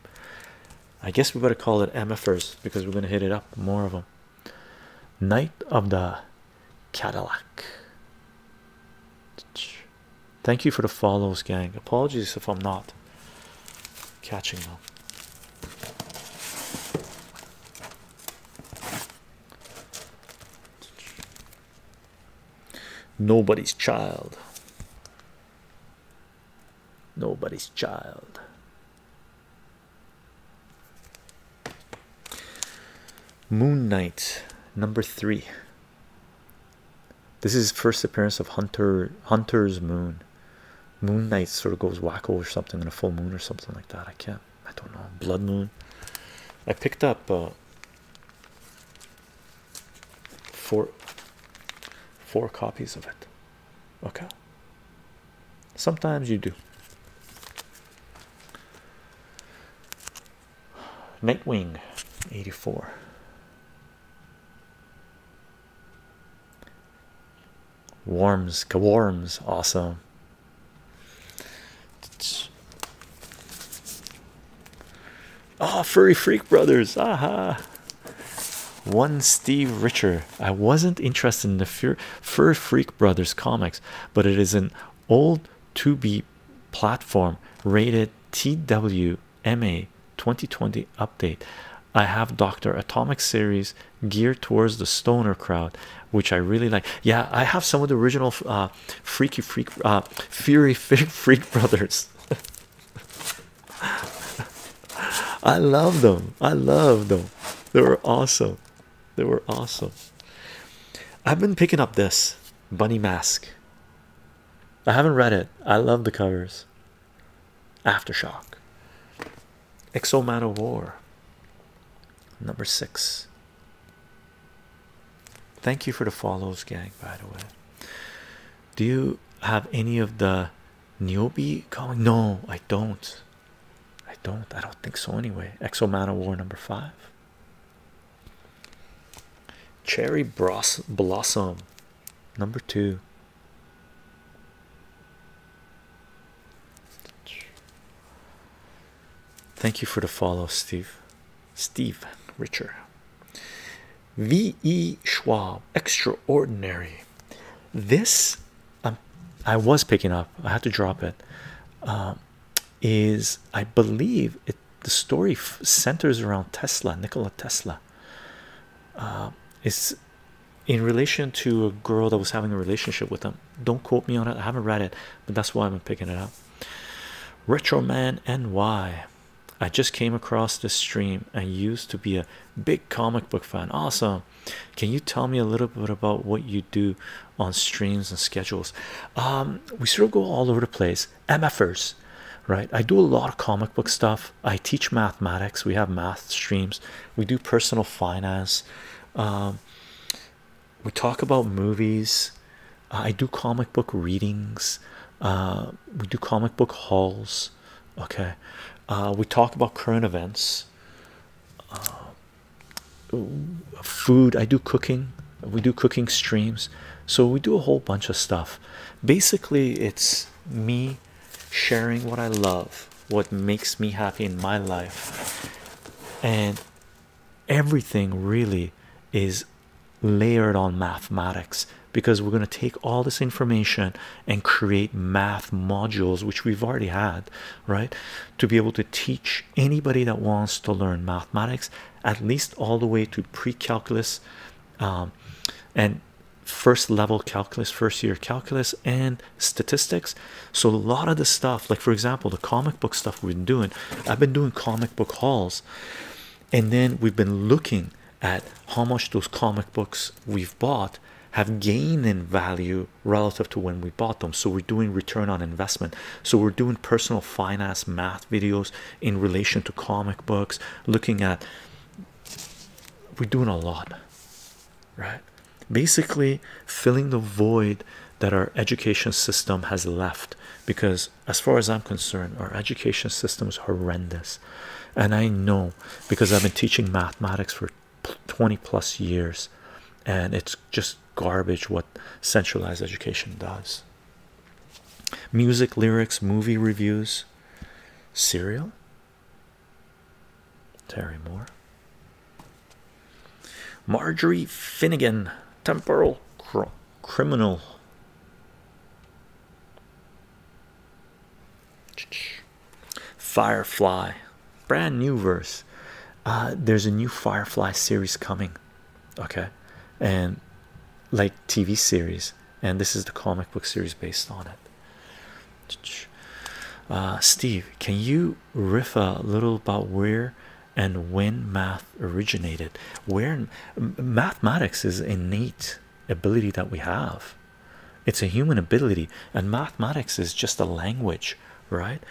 i guess we better call it mfers because we're going to hit it up more of them night of the cadillac thank you for the follows gang apologies if i'm not catching them Nobody's child. Nobody's child. Moon Knight number three. This is first appearance of Hunter Hunter's Moon. Moon Knight sort of goes wacko or something in a full moon or something like that. I can't I don't know, Blood Moon. I picked up uh, four four copies of it. Okay. Sometimes you do. Nightwing 84. Warms, Kawarms, awesome. Oh, furry freak brothers, aha. One Steve Richer. I wasn't interested in the fur fur freak brothers comics, but it is an old 2B platform rated TWMA 2020 update. I have Dr. Atomic series geared towards the stoner crowd, which I really like. Yeah, I have some of the original uh, Freaky Freak, uh, Fury Freak, Freak Brothers. I love them. I love them. They were awesome. They were awesome. I've been picking up this bunny mask. I haven't read it. I love the covers. Aftershock. Exo Man of War, number six. Thank you for the follows, gang. By the way, do you have any of the Niobe going? No, I don't. I don't. I don't think so. Anyway, Exo Man of War number five. Cherry Blossom, number two. Thank you for the follow, Steve. Steve Richard. V.E. Schwab. Extraordinary. This um, I was picking up. I had to drop it. Um, is I believe it the story centers around Tesla, Nikola Tesla. Uh, is in relation to a girl that was having a relationship with him don't quote me on it. I haven't read it, but that's why I'm picking it up. Retro Man and why? I just came across this stream and used to be a big comic book fan. Awesome. Can you tell me a little bit about what you do on streams and schedules? Um, we sort of go all over the place. MFers, right? I do a lot of comic book stuff. I teach mathematics. We have math streams. We do personal finance. Um, we talk about movies uh, i do comic book readings uh, we do comic book hauls okay uh, we talk about current events food i do cooking we do cooking streams so we do a whole bunch of stuff basically it's me sharing what i love what makes me happy in my life and everything really is layered on mathematics because we're going to take all this information and create math modules which we've already had right to be able to teach anybody that wants to learn mathematics at least all the way to pre-calculus um, and first level calculus first year calculus and statistics so, a lot of the stuff, like for example, the comic book stuff we've been doing, I've been doing comic book hauls, and then we've been looking at how much those comic books we've bought have gained in value relative to when we bought them. So, we're doing return on investment. So, we're doing personal finance math videos in relation to comic books, looking at we're doing a lot, right? basically filling the void that our education system has left because as far as i'm concerned our education system is horrendous and i know because i've been teaching mathematics for 20 plus years and it's just garbage what centralized education does music lyrics movie reviews serial terry moore Marjorie Finnegan, temporal criminal. Firefly, brand new verse. Uh, there's a new Firefly series coming, okay, and like TV series, and this is the comic book series based on it. Uh, Steve, can you riff a little about where and when math originated where mathematics is innate ability that we have it's a human ability and mathematics is just a language right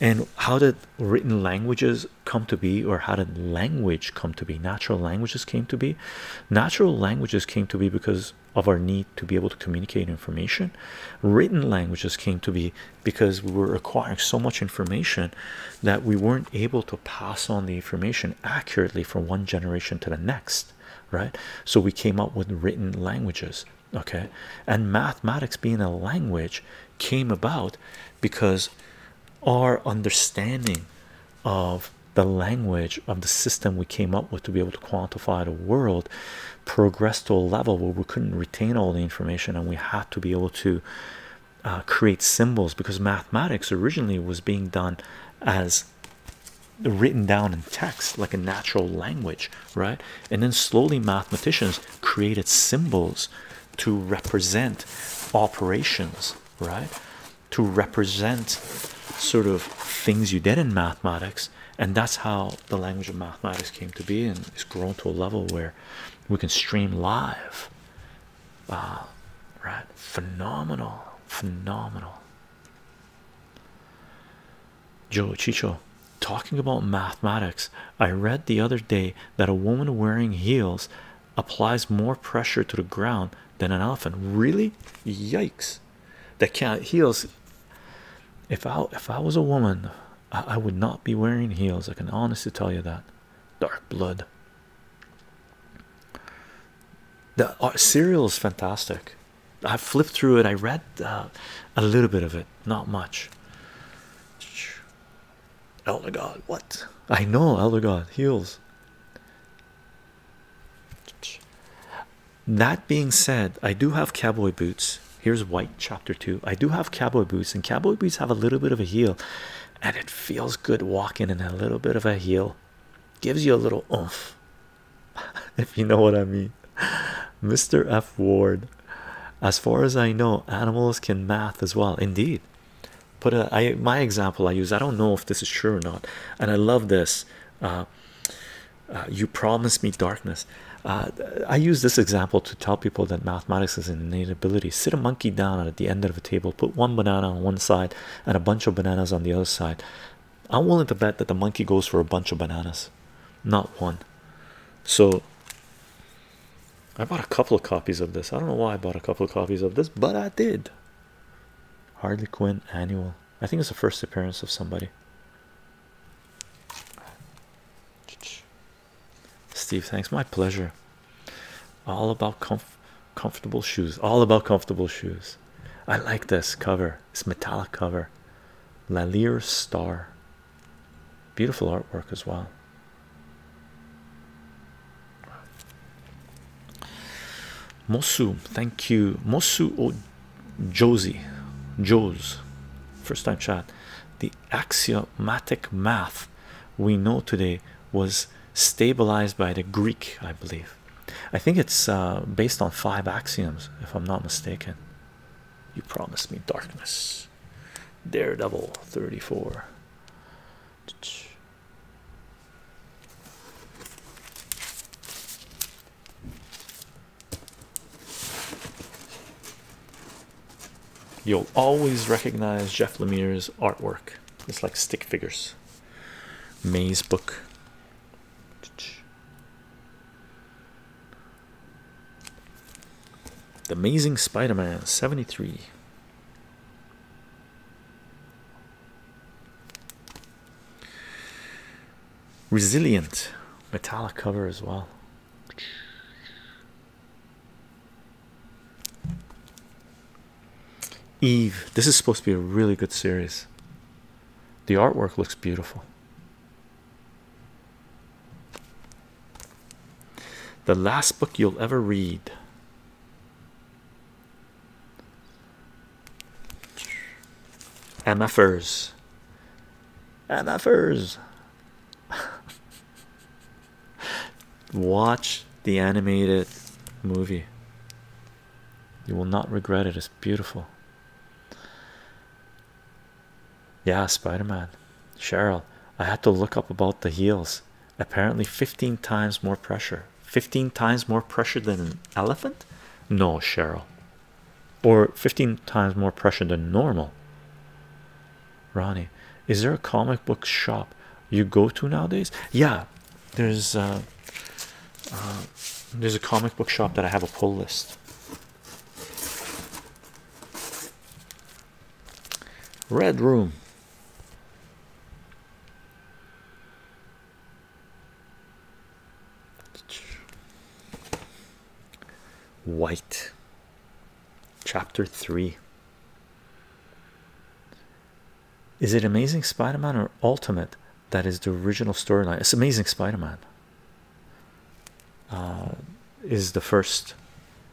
and how did written languages come to be or how did language come to be natural languages came to be natural languages came to be because of our need to be able to communicate information written languages came to be because we were acquiring so much information that we weren't able to pass on the information accurately from one generation to the next, right? So we came up with written languages, okay? And mathematics being a language came about because our understanding of the language of the system we came up with to be able to quantify the world progressed to a level where we couldn't retain all the information and we had to be able to uh, create symbols because mathematics originally was being done as written down in text like a natural language right and then slowly mathematicians created symbols to represent operations right to represent sort of things you did in mathematics and that's how the language of mathematics came to be and it's grown to a level where we can stream live uh, right phenomenal phenomenal joe chicho talking about mathematics i read the other day that a woman wearing heels applies more pressure to the ground than an elephant really yikes that can heels if i if i was a woman I, would not be wearing heels. I can honestly tell you that. Dark blood. The serial uh, is fantastic. I flipped through it. I read uh, a little bit of it, not much. Elder God, what? I know Elder God heals. That being said, I do have cowboy boots. Here's white chapter two. I do have cowboy boots, and cowboy boots have a little bit of a heel, and it feels good walking in a little bit of a heel. Gives you a little oomph, if you know what I mean. Mr. F. Ward. As far as I know, animals can math as well. Indeed. Put a, I, my example I use, I don't know if this is true or not, and I love this. Uh, uh, you promised me darkness. Uh, I use this example to tell people that mathematics is an innate ability. Sit a monkey down at the end of a table, put one banana on one side and a bunch of bananas on the other side. I'm willing to bet that the monkey goes for a bunch of bananas, not one. So I bought a couple of copies of this. I don't know why I bought a couple of copies of this, but I did. Harley Quinn annual. I think it's the first appearance of somebody. Steve, thanks. My pleasure. All about comfortable shoes. All about comfortable shoes. I like this cover. This metallic cover. Lallier Star. Beautiful artwork as well. Mosu, thank you. Mosu O Josie. Joes. First time chat. The axiomatic math we know today was stabilized by the Greek, I believe. I think it's uh, based on five axioms, if I'm not mistaken. You promised me darkness, Daredevil 34. You'll always recognize Jeff Lemire's artwork. It's like stick figures. May's book. The Amazing Spider-Man 73. Resilient metallic cover as well. Eve, this is supposed to be a really good series. The artwork looks beautiful. The last book you'll ever read. MFers. MFers. Watch the animated movie. You will not regret it. It's beautiful. Yeah, Spider Man. Cheryl, I had to look up about the heels. Apparently, 15 times more pressure. 15 times more pressure than an elephant? No, Cheryl. Or 15 times more pressure than normal. Ronnie, is there a comic book shop you go to nowadays? Yeah, there's uh, uh, there's a comic book shop that I have a pull list. Red Room. White Chapter 3 Is it Amazing Spider Man or Ultimate that is the original storyline? It's Amazing Spider Man, uh, is the first,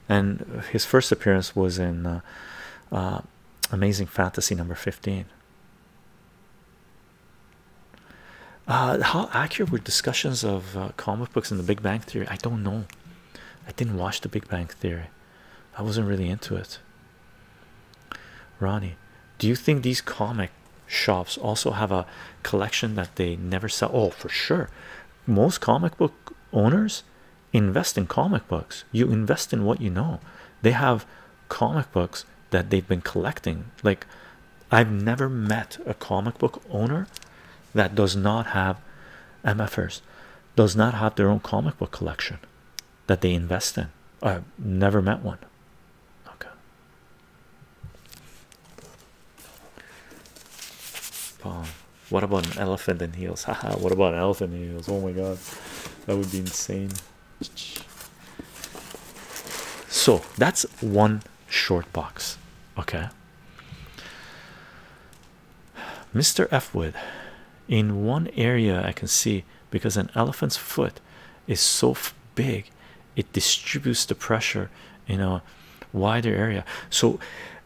and his first appearance was in uh, uh, Amazing Fantasy number 15. how accurate were discussions of comic books in the Big Bang Theory? I don't know. I didn't watch The Big Bang Theory. I wasn't really into it. Ronnie, do you think these comic shops also have a collection that they never sell? Oh, for sure. Most comic book owners invest in comic books. You invest in what you know. They have comic books that they've been collecting. Like, I've never met a comic book owner that does not have MFers does not have their own comic book collection that they invest in. I've never met one. Okay. Palm. What about an elephant in heels? Haha, what about an elephant in heels? Oh my god, that would be insane. So that's one short box. Okay. Mr. F. Wood, in one area I can see because an elephant's foot is so big, it distributes the pressure in a wider area. So,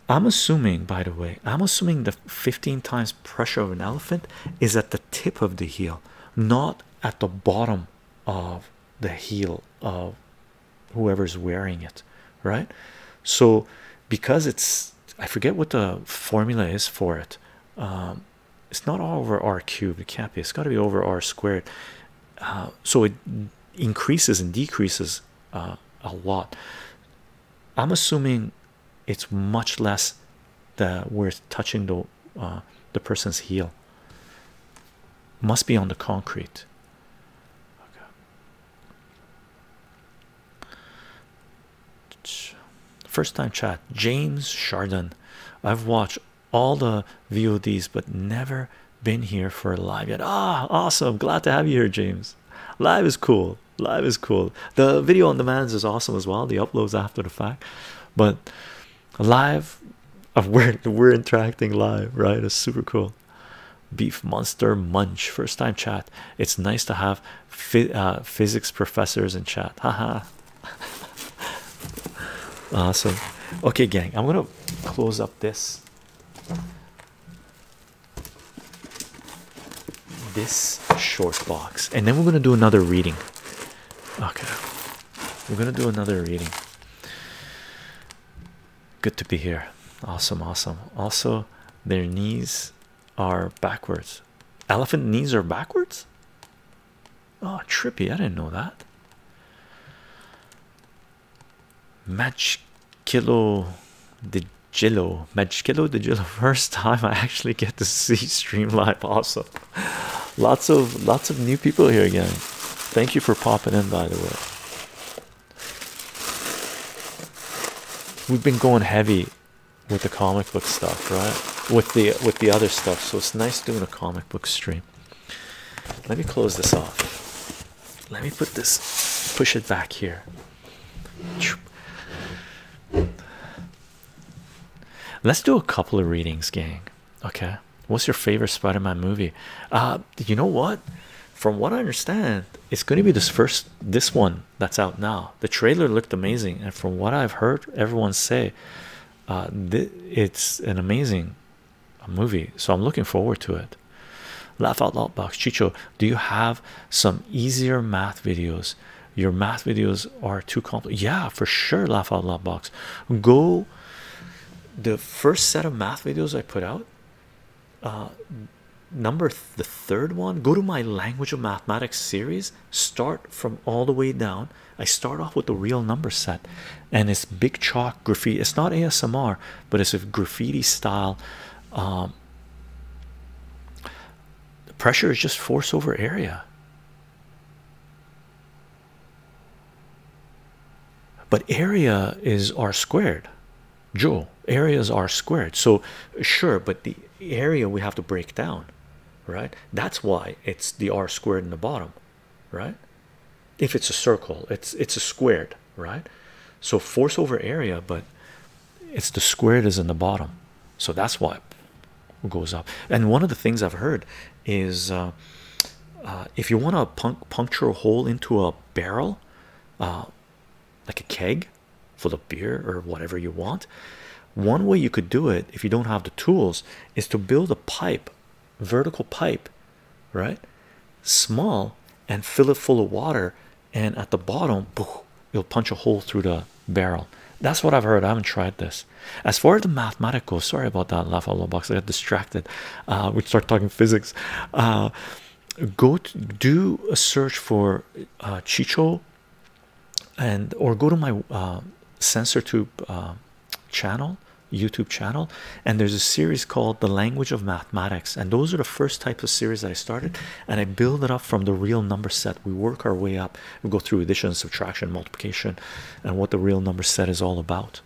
I'm assuming, by the way, I'm assuming the 15 times pressure of an elephant is at the tip of the heel, not at the bottom of the heel of whoever's wearing it right? So, because it's I forget what the formula is for it, um, it's not all over r cubed, it can't be, it's got to be over r squared. Uh, so, it increases and decreases uh, a lot. I'm assuming it's much less that we're touching the uh, the person's heel must be on the concrete First time chat, James Chardon. I've watched all the VODs, but never been here for live yet. Ah, awesome! Glad to have you here, James. Live is cool. Live is cool. The video on demand is awesome as well. The uploads after the fact, but live, we're we're interacting live, right? It's super cool beef monster munch first time chat it's nice to have uh, physics professors in chat haha awesome okay gang i'm gonna close up this this short box and then we're gonna do another reading okay we're gonna do another reading good to be here awesome awesome also their knees are backwards. Elephant knees are backwards. Oh, trippy! I didn't know that. Match kilo the Jillo, Match kilo the Jillo. First time I actually get to see stream live. Awesome! Lots of lots of new people here again. Thank you for popping in, by the way. We've been going heavy with the comic book stuff, right? With the with the other stuff, so it's nice doing a comic book stream. Let me close this off. Let me put this, push it back here. Let's do a couple of readings, gang. Okay, what's your favorite Spider-Man movie? Uh, you know what? From what I understand, it's going to be this first, this one that's out now. The trailer looked amazing, and from what I've heard, everyone say uh, it's an amazing uh, movie. So I'm looking forward to it. Laugh out loud box Chicho. Do you have some easier math videos? Your math videos are too complex. Yeah, for sure. Laugh out loud box. Go. The first set of math videos I put out uh, number the third one go to my language of mathematics series start from all the way down i start off with the real number set and it's big chalk graffiti it's not asmr but it's a graffiti style The um, pressure is just force over area but area is r squared Joe, areas are squared. So sure, but the area we have to break down, right? That's why it's the r squared in the bottom, right? If it's a circle, it's it's a squared, right? So force over area, but it's the squared is in the bottom, so that's why it goes up. And one of the things I've heard is uh, uh, if you want to puncture a hole into a barrel, uh, like a keg, full of beer or whatever you want. One way you could do it if you don't have the tools is to build a pipe, vertical pipe, right? Small and fill it full of water, and at the bottom, poof, you'll punch a hole through the barrel. That's what I've heard. I haven't tried this. As far as the mathematical, sorry about that, laugh out loud box. I got distracted. Uh, we start talking physics. Uh, go to do a search for uh, Chicho and or go to my uh, sensor tube uh, channel YouTube channel and there's a series called the language of mathematics and those are the first types of series that I started and I build it up from the real number set we work our way up we go through addition subtraction multiplication and what the real number set is all about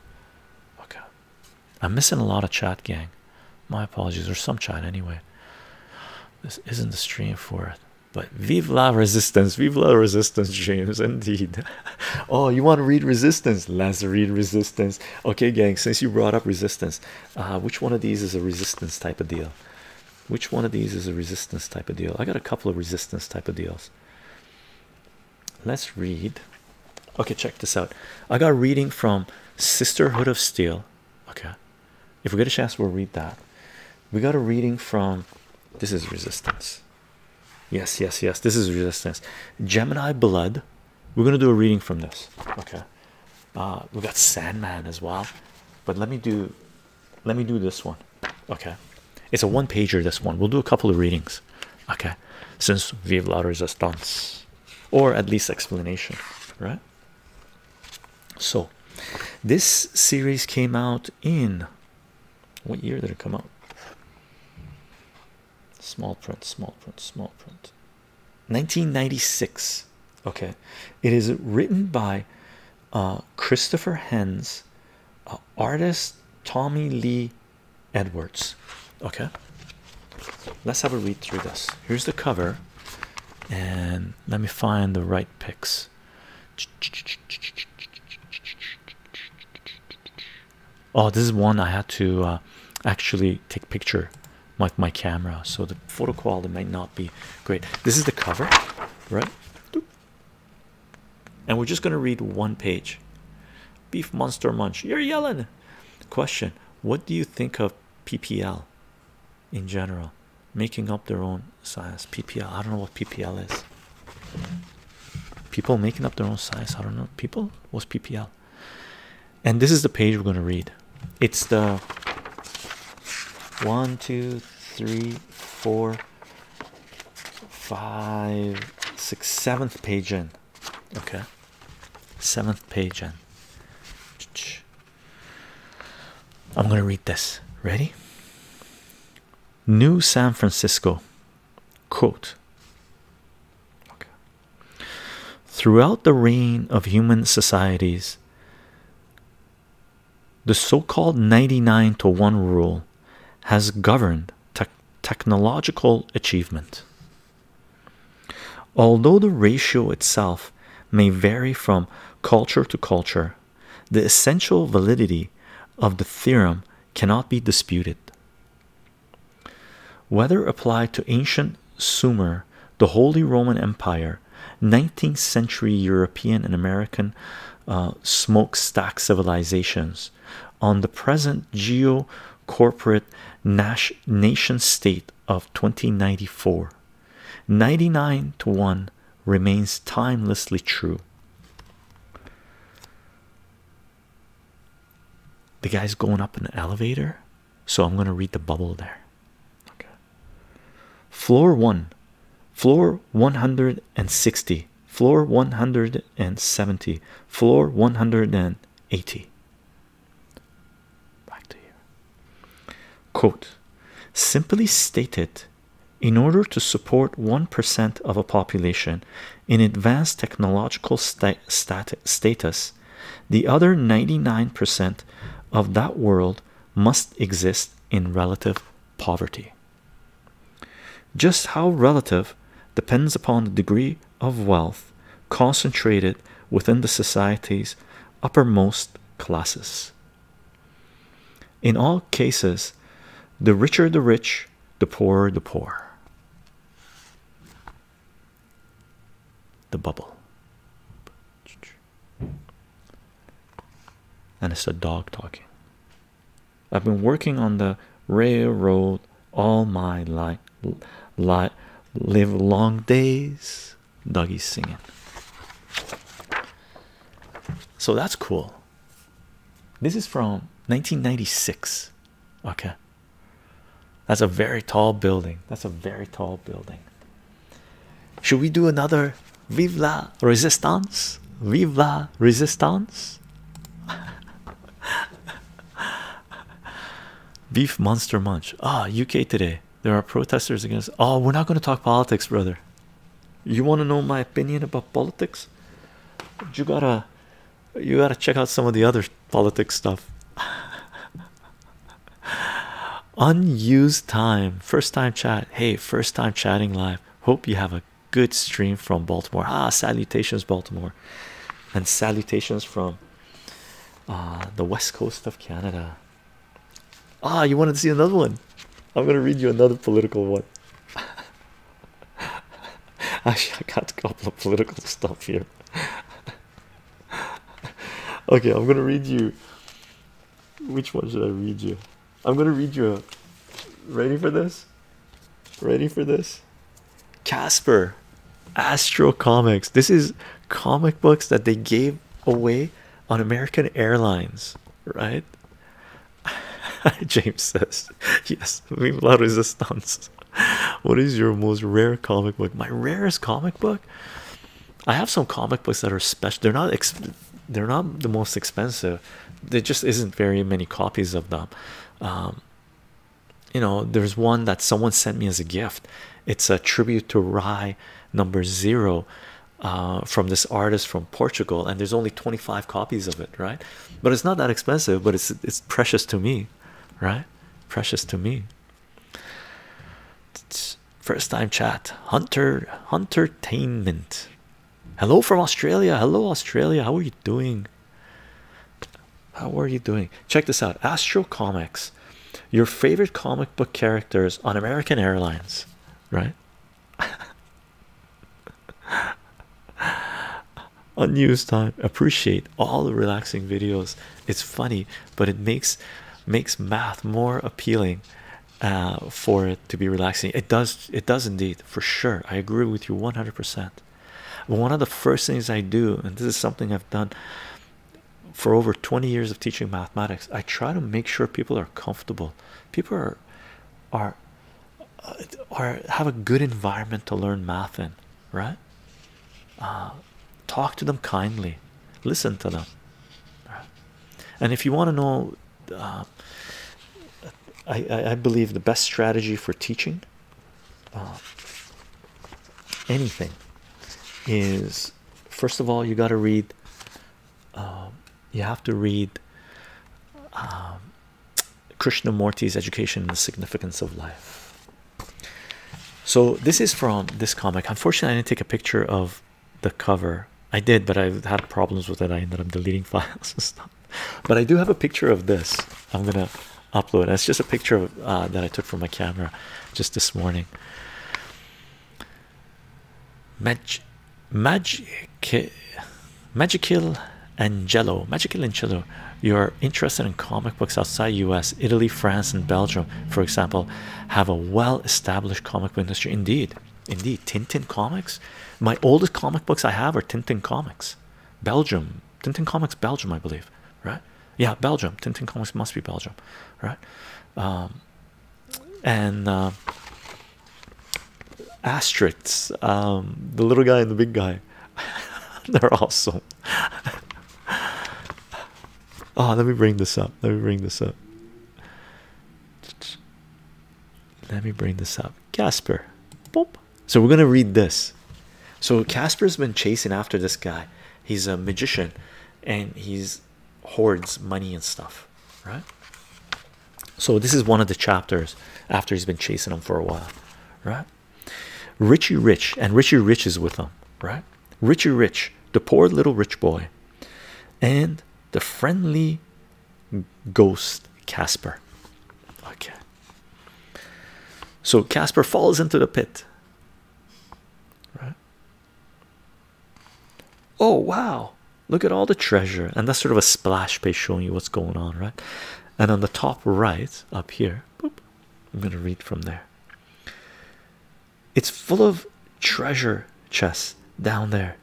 okay I'm missing a lot of chat gang my apologies or some chat anyway this isn't the stream for it, but vive la resistance, vive la resistance, James. Indeed. oh, you want to read resistance? Let's read resistance. Okay, gang, since you brought up resistance, uh, which one of these is a resistance type of deal? Which one of these is a resistance type of deal? I got a couple of resistance type of deals. Let's read. Okay, check this out. I got reading from Sisterhood of Steel Okay, if we get a chance, we'll read that. We got a reading from this is resistance. Yes, yes, yes. This is resistance. Gemini blood. We're gonna do a reading from this. Okay. Uh, we got Sandman as well, but let me do, let me do this one. Okay, it's a one pager. This one we'll do a couple of readings. Okay, since Vive la Resistance, or at least explanation, right? So, this series came out in what year did it come out? Small print, small print, small print. 1996. Okay, it is written by uh, Christopher Hens, uh, artist Tommy Lee Edwards. Okay, let's have a read through this. Here's the cover, and let me find the right pics. Oh, this is one I had to uh, actually take picture with my camera, so the photo quality might not be great. This is the cover, right? And we're just gonna read one page. Beef Monster Munch, you're yelling. Question: What do you think of PPL? in general, making up their own size. PPL, I don't know what PPL is. People making up their own size. I don't know. People, what's PPL? And this is the page we're going to read. It's the one, two, three, four, five, six, seventh page in. Okay, seventh page in. I'm going to read this. Ready? New San Francisco. Quote. Throughout the reign of human societies, the so called 99 to 1 rule has governed technological achievement. Although the ratio itself may vary from culture to culture, the essential validity of the theorem cannot be disputed. Whether applied to ancient Sumer, the Holy Roman Empire, 19th century European and American uh, smokestack civilizations, on the present geo corporate nation state of 2094, 99 to 1 remains timelessly true. The guy's going up an elevator, so I'm going to read the bubble there. Okay. Floor 1, floor 160, floor 170, floor 180. Quote Simply stated, in order to support 1% of a population in advanced technological status, the other 99% of that world must exist in relative poverty. Just how relative depends upon the degree of wealth concentrated within the society's uppermost classes. In all cases, the richer the rich, the poorer the poor. The bubble. And it's a dog talking. I've been working on the railroad all my life, li live long days. Dougie's singing. So that's cool. This is from 1996. Okay. That's a very tall building. That's a very tall building. Should we do another Viva la Resistance? Viva Resistance? Beef Monster Munch. Ah, UK today. There are protesters against. Oh, we're not going to talk politics, brother. You want to know my opinion about politics? You gotta, you gotta check out some of the other politics stuff. Unused time, first time chat. Hey, first time chatting live. Hope you have a good stream from Baltimore. Ah, salutations, Baltimore, and salutations from uh, the west coast of Canada. Ah, you wanted to see another one? I'm gonna read you another political one. Actually, I got a couple of political stuff here. okay, I'm gonna read you. Which one should I read you? I'm gonna read you a. Ready for this? Ready for this? Casper, Astro Comics. This is comic books that they gave away on American Airlines right? James says, Yes, meme la resistance. What is your most rare comic book? My rarest comic book. I have some comic books that are special. They're not they're not the most expensive. There just isn't very many copies of them. Um, you know, there's one that someone sent me as a gift. It's a tribute to Rye number zero uh, from this artist from Portugal, and there's only 25 copies of it, right? But it's not that expensive, but it's it's precious to me, right? Precious to me. first time chat, Hunter Entertainment. Hello from Australia. Hello Australia. How are you doing? How are you doing? Check this out. Astro Comics, your favorite comic book characters on American Airlines, right? Unused time. Appreciate all the relaxing videos. It's funny, but it makes makes math more appealing uh, for it to be relaxing. It does. It does indeed, for sure. I agree with you one hundred percent. One of the first things I do, and this is something I've done for over 20 years of teaching mathematics, I try to make sure people are comfortable people are are uh, are have a good environment to learn math in right uh, talk to them kindly listen to them and if you want to know uh, I, I, believe the best strategy for teaching anything is first of all you got to read um, you have to read um, Krishnamurti's Education and the Significance of Life. So this is from this comic. Unfortunately, I didn't take a picture of the cover. I did, but i had problems with it. I ended up deleting files and stuff. But I do have a picture of this. I'm gonna upload. It's just a picture uh, that I took from my camera just this morning. Mag Magic Magical Angelo. Magical Angelo, you're interested in comic books outside US, Italy, France, and Belgium, for example, have a well established comic book industry. Indeed, indeed. Tintin comics. My oldest comic books I have are Tintin comics. Belgium. Tintin comics, Belgium, I believe. Right? Yeah, Belgium. Tintin comics must be Belgium. Right? Um, and uh, um, the little guy and the big guy they're awesome oh let me bring this up let me bring this up let me bring this up Casper so we're gonna read this so Casper's been chasing after this guy he's a magician and he's hoards money and stuff, right? So this is one of the chapters after he's been chasing them for a while, right? Richie Rich and Richie Rich is with them, right? Richie Rich, the poor little rich boy, and the friendly ghost Casper. Okay. So Casper falls into the pit. Right? Oh, wow, look at all the treasure, and that's sort of a splash page showing you what's going on, right? And on the top right up here, I'm going to read from there. It's full of treasure chests down there.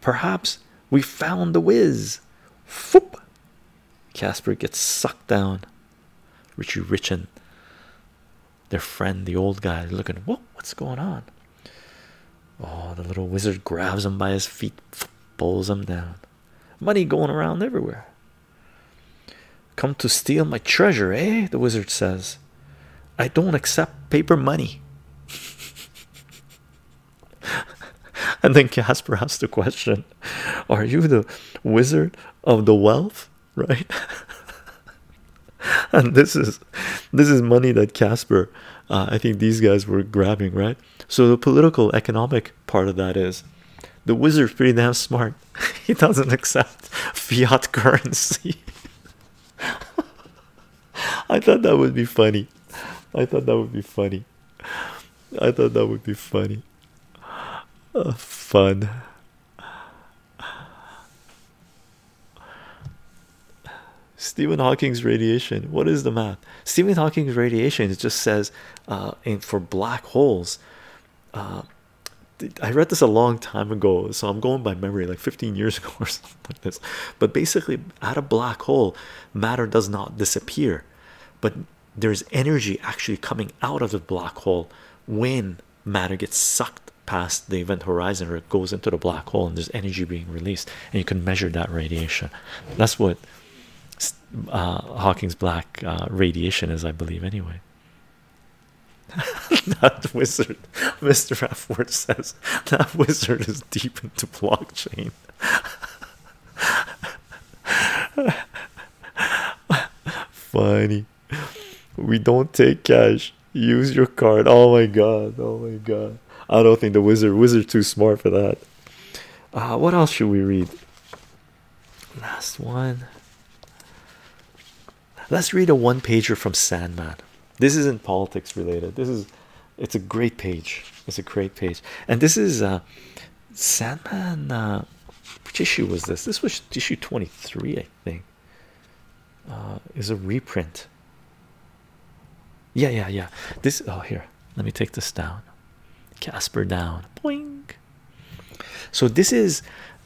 Perhaps we found the whiz. Foop. Casper gets sucked down. Richie Richin, their friend, the old guy, looking, Whoa, what's going on? Oh, the little wizard grabs him by his feet, pulls him down. Money going around everywhere. Come to steal my treasure, eh? The wizard says, I don't accept paper money. and then Casper asks the question, Are you the wizard of the wealth? Right? and this is this is money that Casper uh, I think these guys were grabbing, right? So the political economic part of that is the wizard's pretty damn smart. he doesn't accept fiat currency. I thought that would be funny. I thought that would be funny. I thought that would be funny. Uh, fun. Stephen Hawking's radiation. What is the math? Stephen Hawking's radiation. It just says, and uh, for black holes. Uh, I read this a long time ago, so I'm going by memory, like 15 years ago or something like this. But basically, at a black hole, matter does not disappear, but there's energy actually coming out of the black hole when matter gets sucked past the event horizon or it goes into the black hole and there's energy being released and you can measure that radiation. That's what uh, Hawking's black uh, radiation is, I believe, anyway. that wizard, Mr. Rafford says, that wizard is deep into blockchain. Funny, we don't take cash. Use your card. Oh my god! Oh my god! I don't think the wizard wizard too smart for that. Uh, what else should we read? Last one. Let's read a one pager from Sandman. This isn't politics related. This is it's a great page. It's a great page. And this is uh, Sandman uh, which issue was this? This was issue 23, I think. is a reprint. Yeah, yeah, yeah. This oh here. Let me take this down. Casper down. Boing. So this is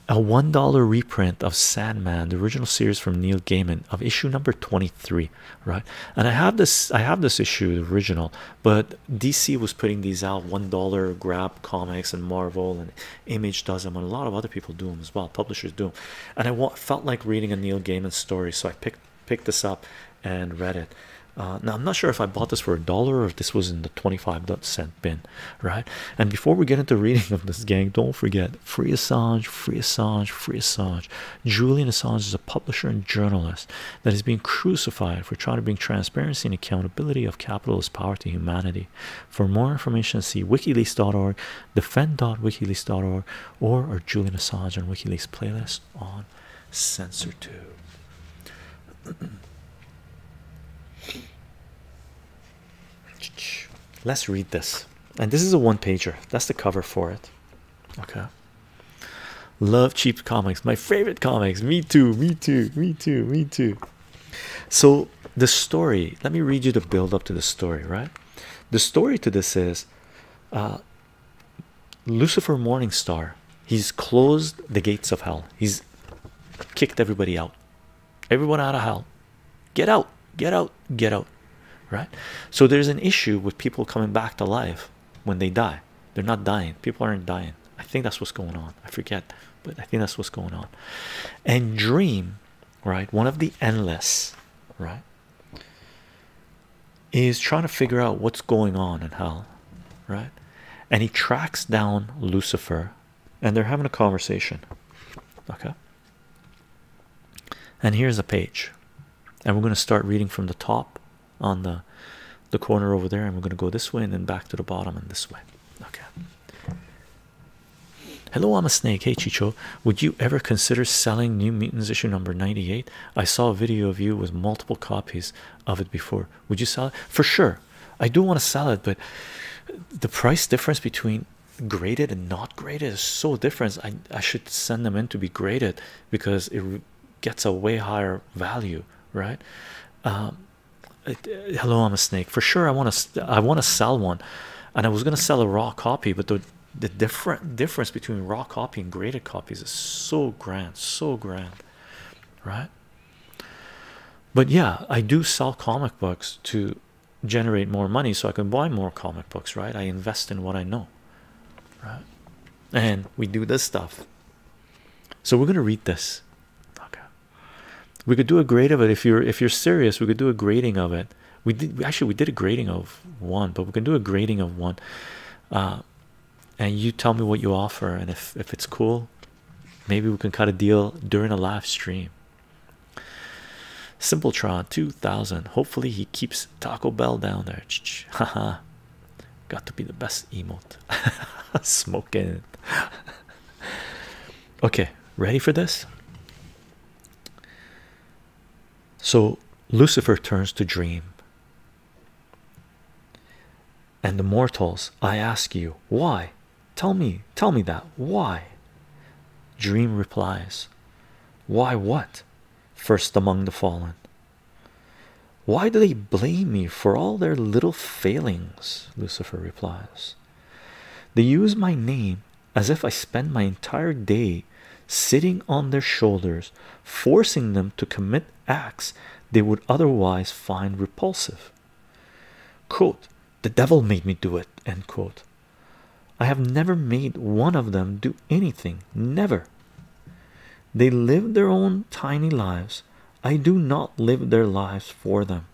a $1 reprint of Sandman, the original series from Neil Gaiman of issue number 23, right? And I have this I have this issue, the original, but DC was putting these out $1 grab comics and Marvel and Image does them and a lot of other people do them as well, publishers do. Them. And I felt like reading a Neil Gaiman story, so I picked picked this up and read it. Uh, now I'm not sure if I bought this for a dollar or if this was in the 25 cent bin, right? And before we get into reading of this gang, don't forget Free Assange, Free Assange, Free Assange. Julian Assange is a publisher and journalist that is being crucified for trying to bring transparency and accountability of capitalist power to humanity. For more information, see wikileaks.org defend.wikileaks.org or our Julian Assange and WikiLeaks playlist on Censor 2 Let's read this. And this is a one pager. That's the cover for it. Okay. Love cheap comics. My favorite comics. Me too. Me too. Me too. Me too. So the story, let me read you the build up to the story, right? The story to this is uh, Lucifer Morningstar, he's closed the gates of hell. He's kicked everybody out. Everyone out of hell. Get out, get out, get out. Right? So there's an issue with people coming back to life when they die. They're not dying. People aren't dying. I think that's what's going on. I forget, but I think that's what's going on. And dream, right? One of the endless, right? Is trying to figure out what's going on in hell, right? And he tracks down Lucifer and they're having a conversation, okay? And here's a page, and we're going to start reading from the top on the the corner over there, and we're going to go this way and then back to the bottom and this way, okay? Hello, I'm a snake. Hey, Chicho, would you ever consider selling New Mutants issue number 98? I saw a video of you with multiple copies of it before. Would you sell it? For sure. I do want to sell it, but the price difference between graded and not graded is so different. I, I should send them in to be graded because it gets a way higher value, right? Um, uh, hello, I'm a snake. For sure, I want to I want to sell one, and I was gonna sell a raw copy, but the the different difference between raw copy and graded copies is so grand, so grand, right? But yeah, I do sell comic books to generate more money so I can buy more comic books, right? I invest in what I know, right? And we do this stuff. So we're gonna read this. Okay. We could do a grade of it if you're if you're serious. We could do a grading of it. We did actually we did a grading of one, but we can do a grading of one uh, and you tell me what you offer and if, if it's cool maybe we can cut a deal during a live stream simpletron 2000 hopefully he keeps taco bell down there haha got to be the best emote smoking okay ready for this so Lucifer turns to dream. And the mortals, I ask you, why? Tell me, tell me that. Why? Dream replies, Why what? First among the fallen. Why do they blame me for all their little failings? Lucifer replies. They use my name as if I spend my entire day sitting on their shoulders, forcing them to commit acts they would otherwise find repulsive. the devil made me do it, I have never made one of them do anything, never. They live their own tiny lives. I do not live their lives for them.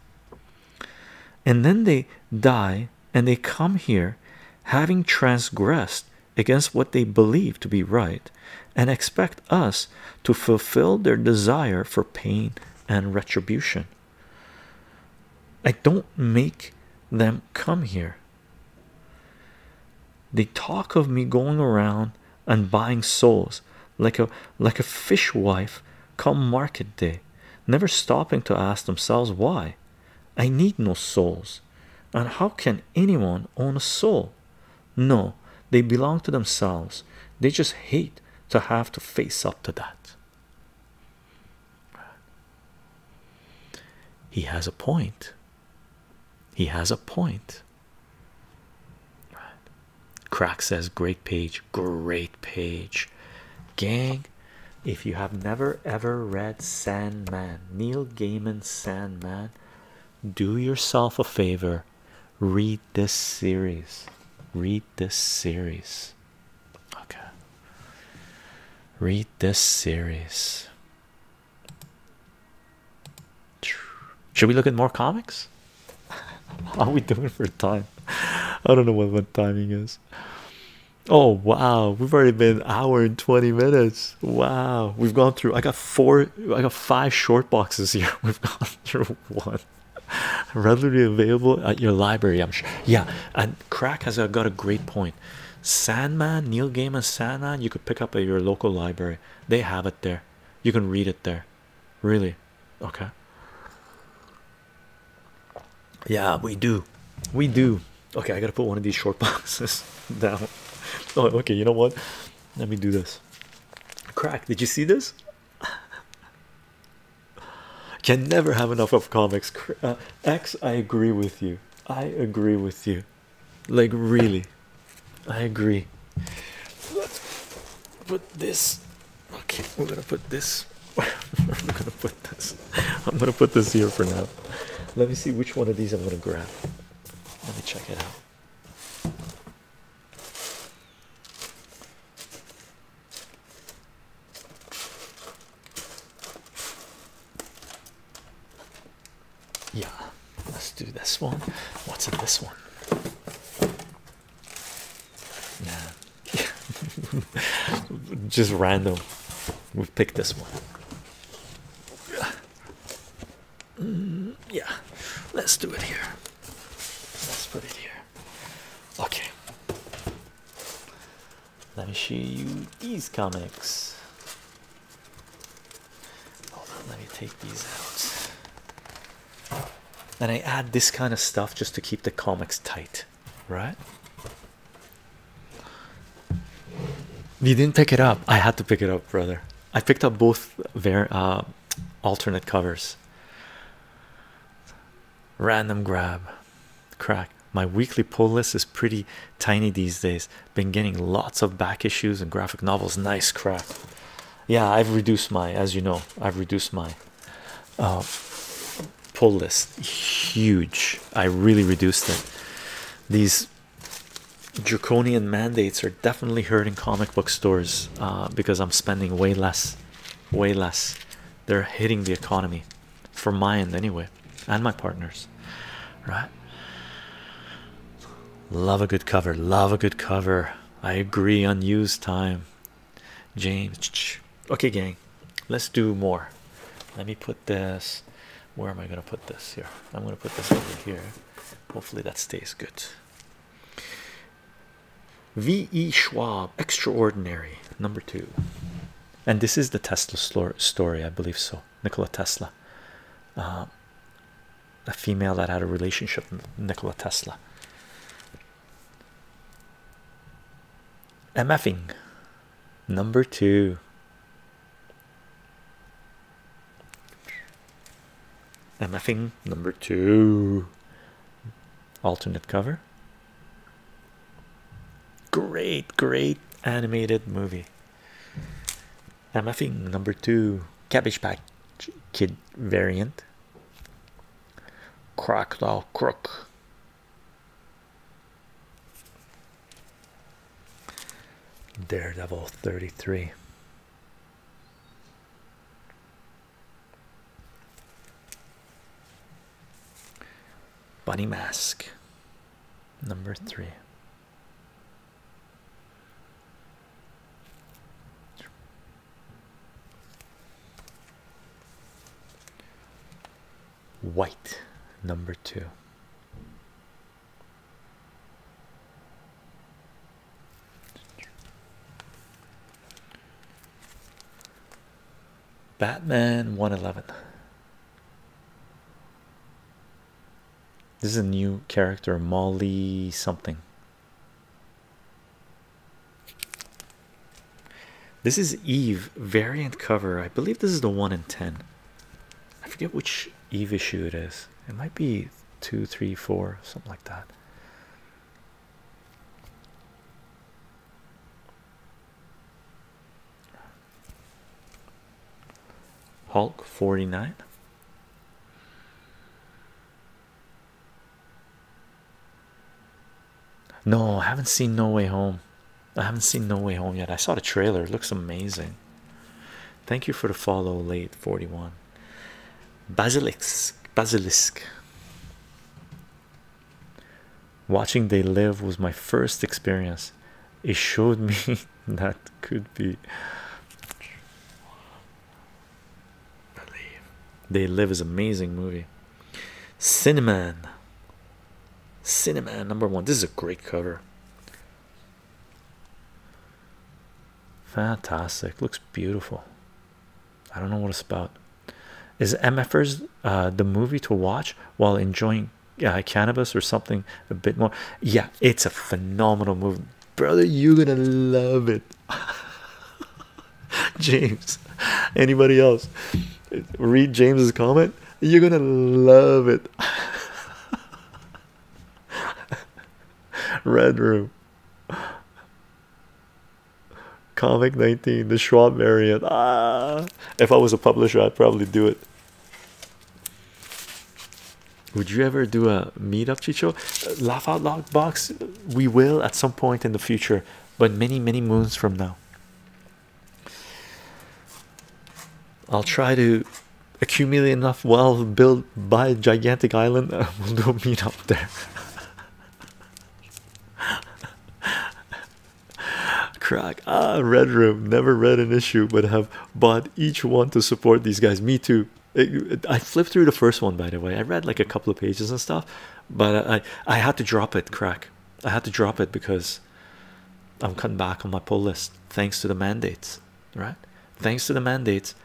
And then they die and they come here having transgressed against what they believe to be right and expect us to fulfill their desire for pain and retribution. I don't make them come here. They talk of me going around and buying souls like a like a fishwife come market day, never stopping to ask themselves why. I need no souls. And how can anyone own a soul? No, they belong to themselves. They just hate to have to face up to that. He has a point. He has a point. Crack says, Great page, great page. Gang, if you have never ever read Sandman, Neil Gaiman's Sandman, do yourself a favor read this series read this series okay read this series should we look at more comics how are we doing for time i don't know what, what timing is oh wow we've already been an hour and 20 minutes wow we've gone through i got four, I got five short boxes here. We've got one. Readily available at your library, I'm sure. Yeah, and Crack has got a great point. Sandman, Neil Gaiman, Sandman, you could pick up at your local library. They have it there. You can read it there. Really? Okay. Yeah, we do. We do. Okay, I gotta put one of these short boxes down. Oh, okay, you know what? Let me do this. Crack, did you see this? Can never have enough of comics. Uh, X, I agree with you. I agree with you. Like, really, I agree. Let's put this. Okay, we're gonna put this. I'm gonna put this. I'm gonna put this here for now. Let me see which one of these I'm gonna grab. Let me check it out. Yeah, let's do this one. What's in this one? Yeah, just random. we picked this one. Mm, yeah, let's do it here. Let's put it here. Okay. Let me show you these comics. Hold on, let me take these out. And I add this kind of stuff just to keep the comics tight, right? You didn't pick it up. I had to pick it up, brother. I picked up both their uh, alternate covers. Random grab, crack. My weekly pull list is pretty tiny these days. Been getting lots of back issues and graphic novels. Nice crap. Yeah, I've reduced my, as you know, I've reduced my uh, pull list. Huge. I really reduced it. These draconian mandates are definitely hurting comic book stores uh, because I'm spending way less, way less. They're hitting the economy for my end anyway, and my partners, right? Love a good cover, love a good cover. I agree, unused time. James, okay, gang, let's do more. Let me put this. Where am I gonna put this here? I'm gonna put this over here Hopefully that stays good. V.E. Schwab, Extraordinary, number two. And this is the Tesla story, I believe so. Nikola Tesla, uh, a female that had a relationship with Nikola Tesla. MFing, number two. MFing number two alternate cover. Great, great animated movie. MFing number two cabbage patch kid variant. Crocodile crook. Daredevil 33. Bunny Mask number three. White number two. Batman 111. This is a new character, Molly something. This is Eve variant cover. I believe this is the 1 in 10. I forget which Eve issue it is. It might be three two three four something like that hulk 49 no i haven't seen no way home i haven't seen no way home yet i saw the trailer it looks amazing Thank you for the follow late 41. Basilisk basilisk. Watching They Live was my first experience. It showed me that could be They Live is amazing movie. Cinnamon. Cinnamon number one. This is a great cover. Fantastic. Looks beautiful. I don't know what it's about. Is MFers uh, the movie to watch while enjoying uh, cannabis or something a bit more? Yeah, it's a phenomenal movie, brother. You're gonna love it, James. Anybody else read James's comment? You're gonna love it. Red Room. Comic 19, the Schwab variant. Ah, if I was a publisher, I'd probably do it. Would you ever do a meetup, Chicho? Uh, laugh out loud box. We will at some point in the future, but many, many moons from now. I'll try to accumulate enough wealth, built by a gigantic island, we'll go meet up there. Crack ah, red room never read an issue, but have bought each one to support these guys. Me too. I flipped through the first one by the way. I read like a couple of pages and stuff, but I I had to drop it. Crack. I had to drop it because I'm coming back on my pull list thanks to the mandates, right? Thanks to the mandates,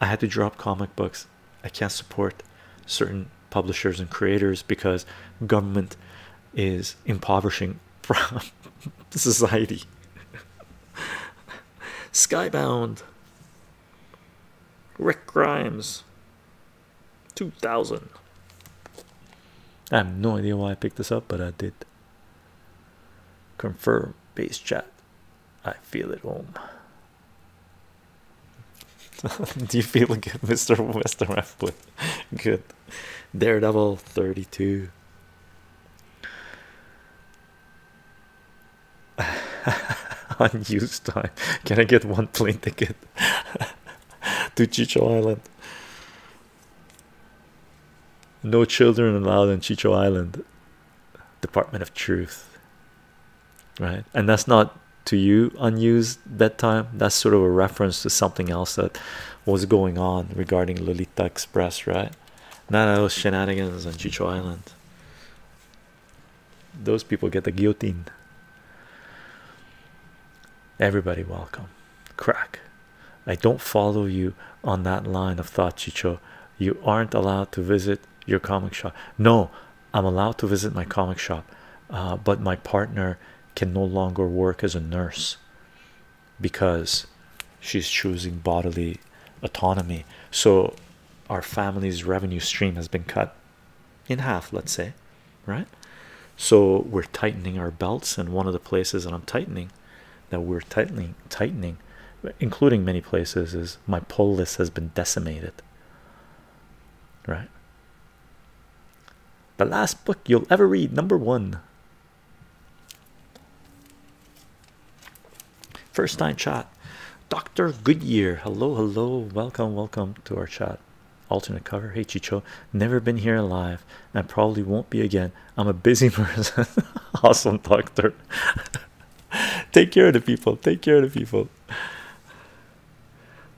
I had to drop comic books. I can't support certain publishers and creators because government is impoverishing society. Skybound, Rick Grimes, 2000. I have no idea why I picked this up, but I did. Confirm base chat. I feel at home. Do you feel good, Mr. Western Good. Daredevil 32. Unused time. Can I get one plane ticket to Chichu Island? No children allowed in Chichu Island. Department of Truth, right? And that's not to you unused bedtime. That's sort of a reference to something else that was going on regarding Lolita Express, right? None of those shenanigans on Chicho Island. Those people get the guillotine. Everybody welcome. Crack. I don't follow you on that line of thought, Chicho. You aren't allowed to visit your comic shop. No, I'm allowed to visit my comic shop, uh, but my partner can no longer work as a nurse because she's choosing bodily autonomy. So our family's revenue stream has been cut in half, let's say, right? So we're tightening our belts, and one of the places that I'm tightening that we're tightening tightening including many places is my pull list has been decimated right the last book you'll ever read number one. First time chat dr goodyear hello hello welcome welcome to our chat alternate cover hey chicho never been here alive and probably won't be again i'm a busy person awesome doctor Take care of the people. Take care of the people.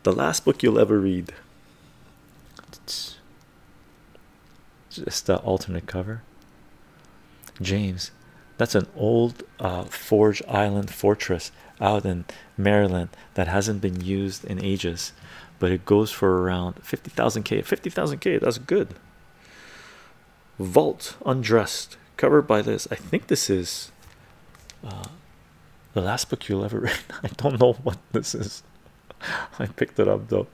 The last book you'll ever read. Just the alternate cover. James, that's an old uh, Forge Island fortress out in Maryland that hasn't been used in ages, but it goes for around 50,000K. 50,000K, that's good. Vault Undressed, covered by this. I think this is uh, the last book you'll ever read. I don't know what this is. I picked it up though.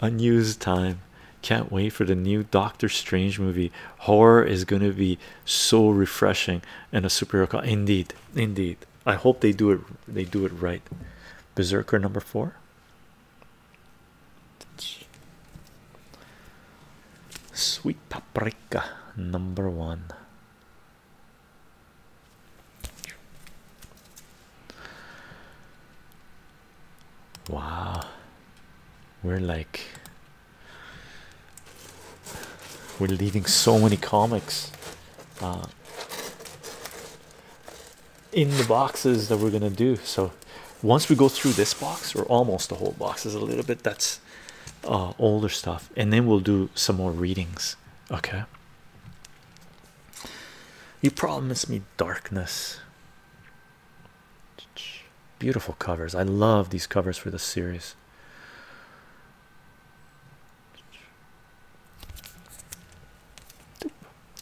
Unused time. Can't wait for the new Doctor Strange movie. Horror is going to be so refreshing and a superhero. Indeed, indeed. I hope they do it. They do it right. Berserker number four. Sweet paprika number one. Wow, we're like we're leaving so many comics. Uh, in the boxes that we're gonna do. So once we go through this box, or almost the whole box, is a little bit that's uh, older stuff, and then we'll do some more readings. Okay. You promised me darkness. Beautiful covers. I love these covers for this series.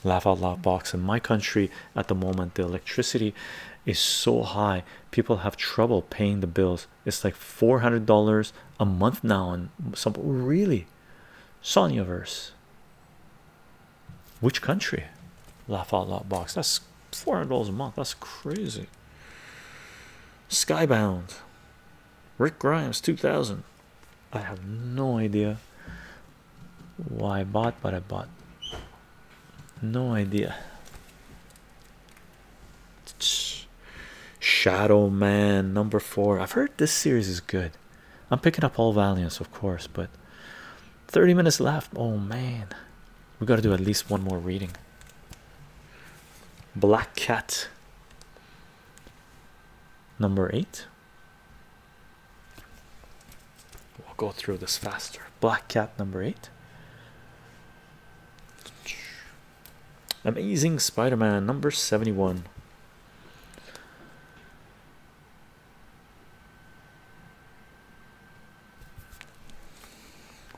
Laugh out loud box in my country at the moment, the electricity is so high, people have trouble paying the bills. It's like four hundred dollars a month now, and some really Sonya verse. Which country? Laugh out loud box. That's four hundred dollars a month. That's crazy. Skybound. Rick Grimes, two thousand. I have no idea why I bought, but I bought. No idea. Shadow Man number four. I've heard this series is good. I'm picking up all Valiants, of course, but 30 minutes left. Oh man, we got to do at least one more reading. Black Cat number eight. We'll go through this faster. Black Cat number eight. Amazing Spider Man number 71.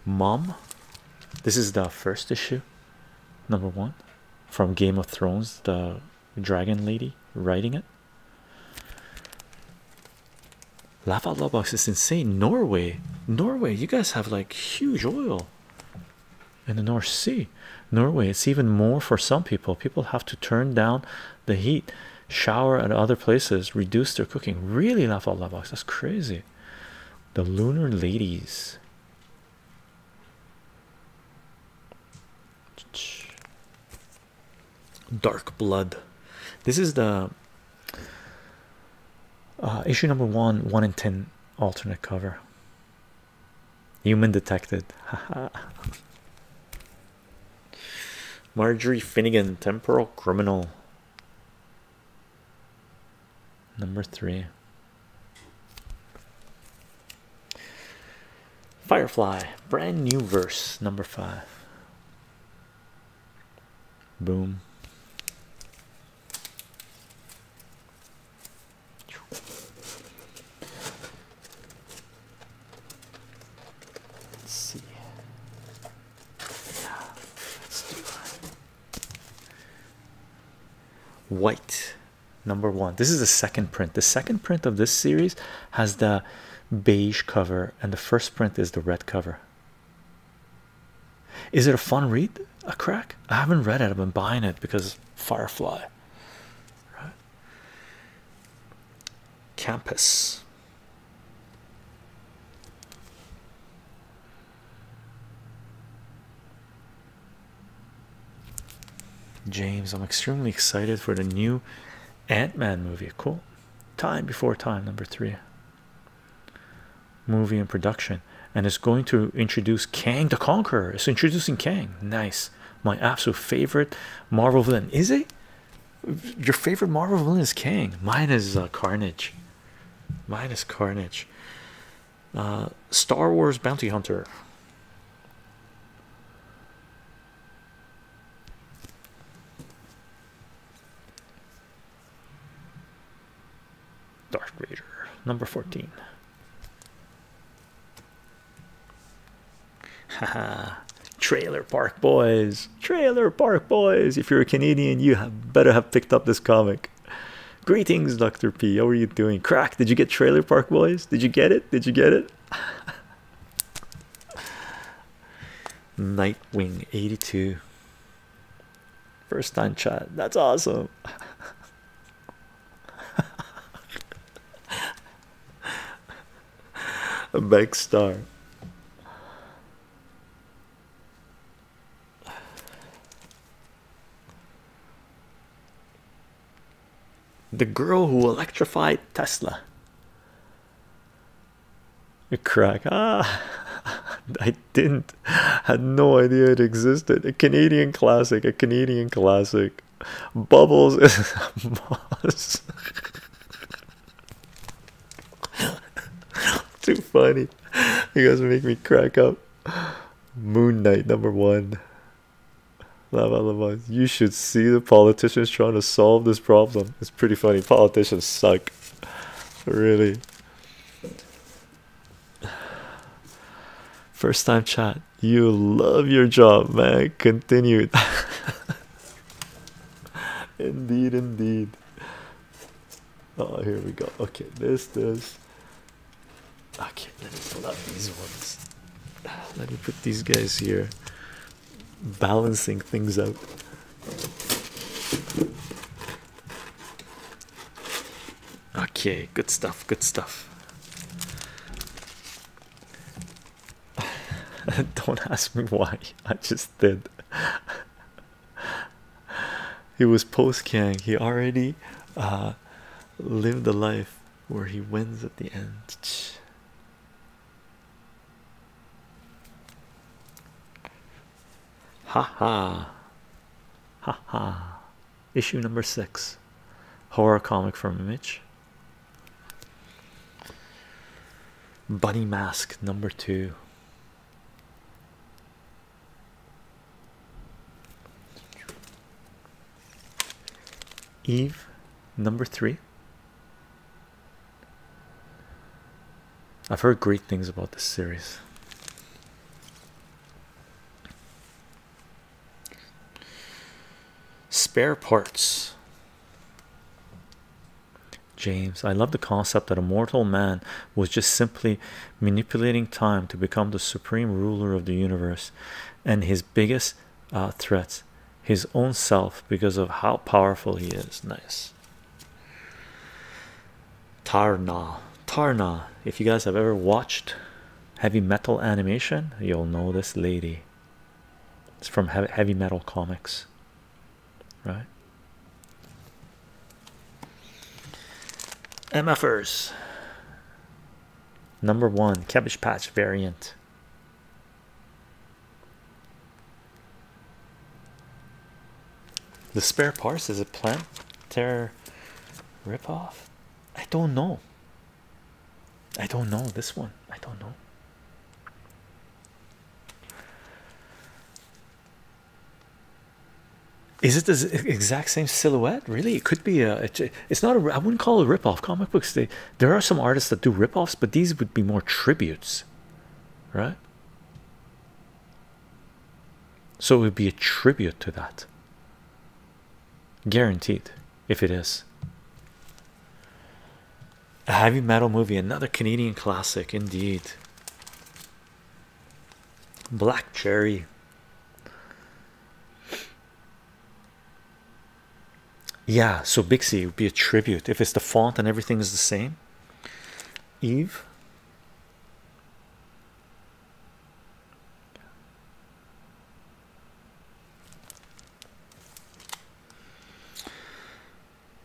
Mom, this is the first issue, number one, from Game of Thrones, the dragon lady riding it. Laugh out box is insane. Norway, Norway, you guys have like huge oil in the North Sea. Norway, it's even more for some people. People have to turn down the heat, shower at other places, reduce their cooking. Really, laugh out box. That's crazy. The lunar ladies. Dark Blood. This is the uh, issue number one, one in ten alternate cover. Human detected. Marjorie Finnegan, temporal criminal. Number three. Firefly, brand new verse number five. Boom. Let's see. Yeah, let's do that. White number one. This is the second print. The second print of this series has the beige cover, and the first print is the red cover. Is it a fun read? A crack? I haven't read it, I've been buying it because Firefly. Campus. James, I'm extremely excited for the new Ant-Man movie. Cool. Time before time, number three. Movie in production, and it's going to introduce Kang the Conqueror. It's introducing Kang. Nice. My absolute favorite Marvel villain. Is it? Your favorite Marvel villain is Kang. Mine is uh, Carnage. Mine is Carnage. Uh, Star Wars Bounty Hunter. Dark Raider, number 14. Haha, Trailer Park Boys, Trailer Park Boys. If you're a Canadian, you have better have picked up this comic. Greetings, Dr. P. How are you doing? Crack, did you get Trailer Park Boys? Did you get it? Did you get it? Nightwing 82 first time chat that's awesome a big star the girl who electrified Tesla. A crack. Ah, I didn't. Had no idea it existed. A Canadian classic. A Canadian classic. Bubbles is moss. Too funny. You guys make me crack up. Moon Knight number one. You should see the politicians trying to solve this problem. It's pretty funny. Politicians suck. Really. First time chat. You love your job, man. Continued. indeed, indeed. Oh, here we go. Okay, this, this. Okay, let me pull these ones let me put these guys here balancing things out okay good stuff good stuff don't ask me why i just did he was post kang he already uh, lived a life where he wins at the end ha! Ha Ha. Issue number six. Horror comic from Image. Bunny Mask number two. Eve number three. I've heard great things about this series. Spare parts. James, I love the concept that a mortal man was just simply manipulating time to become the supreme ruler of the universe and his biggest uh, threats his own self because of how powerful he is. Nice. Tarna. Tarna. If you guys have ever watched heavy metal animation, you'll know this lady. It's from heavy metal comics, right? MFers. Number one, Cabbage Patch variant. The spare parts is a plant terror ripoff. I don't know. I don't know this one. I don't know. Is it the exact same silhouette? Really, it could be a. It's not a. I wouldn't call it a ripoff. Comic books they there are some artists that do rip-offs, but these would be more tributes, right? So it would be a tribute to that, guaranteed. If it is a heavy metal movie, another Canadian classic, indeed. Black Cherry. Yeah, so Bixie would be a tribute if it's the font and everything is the same. Eve.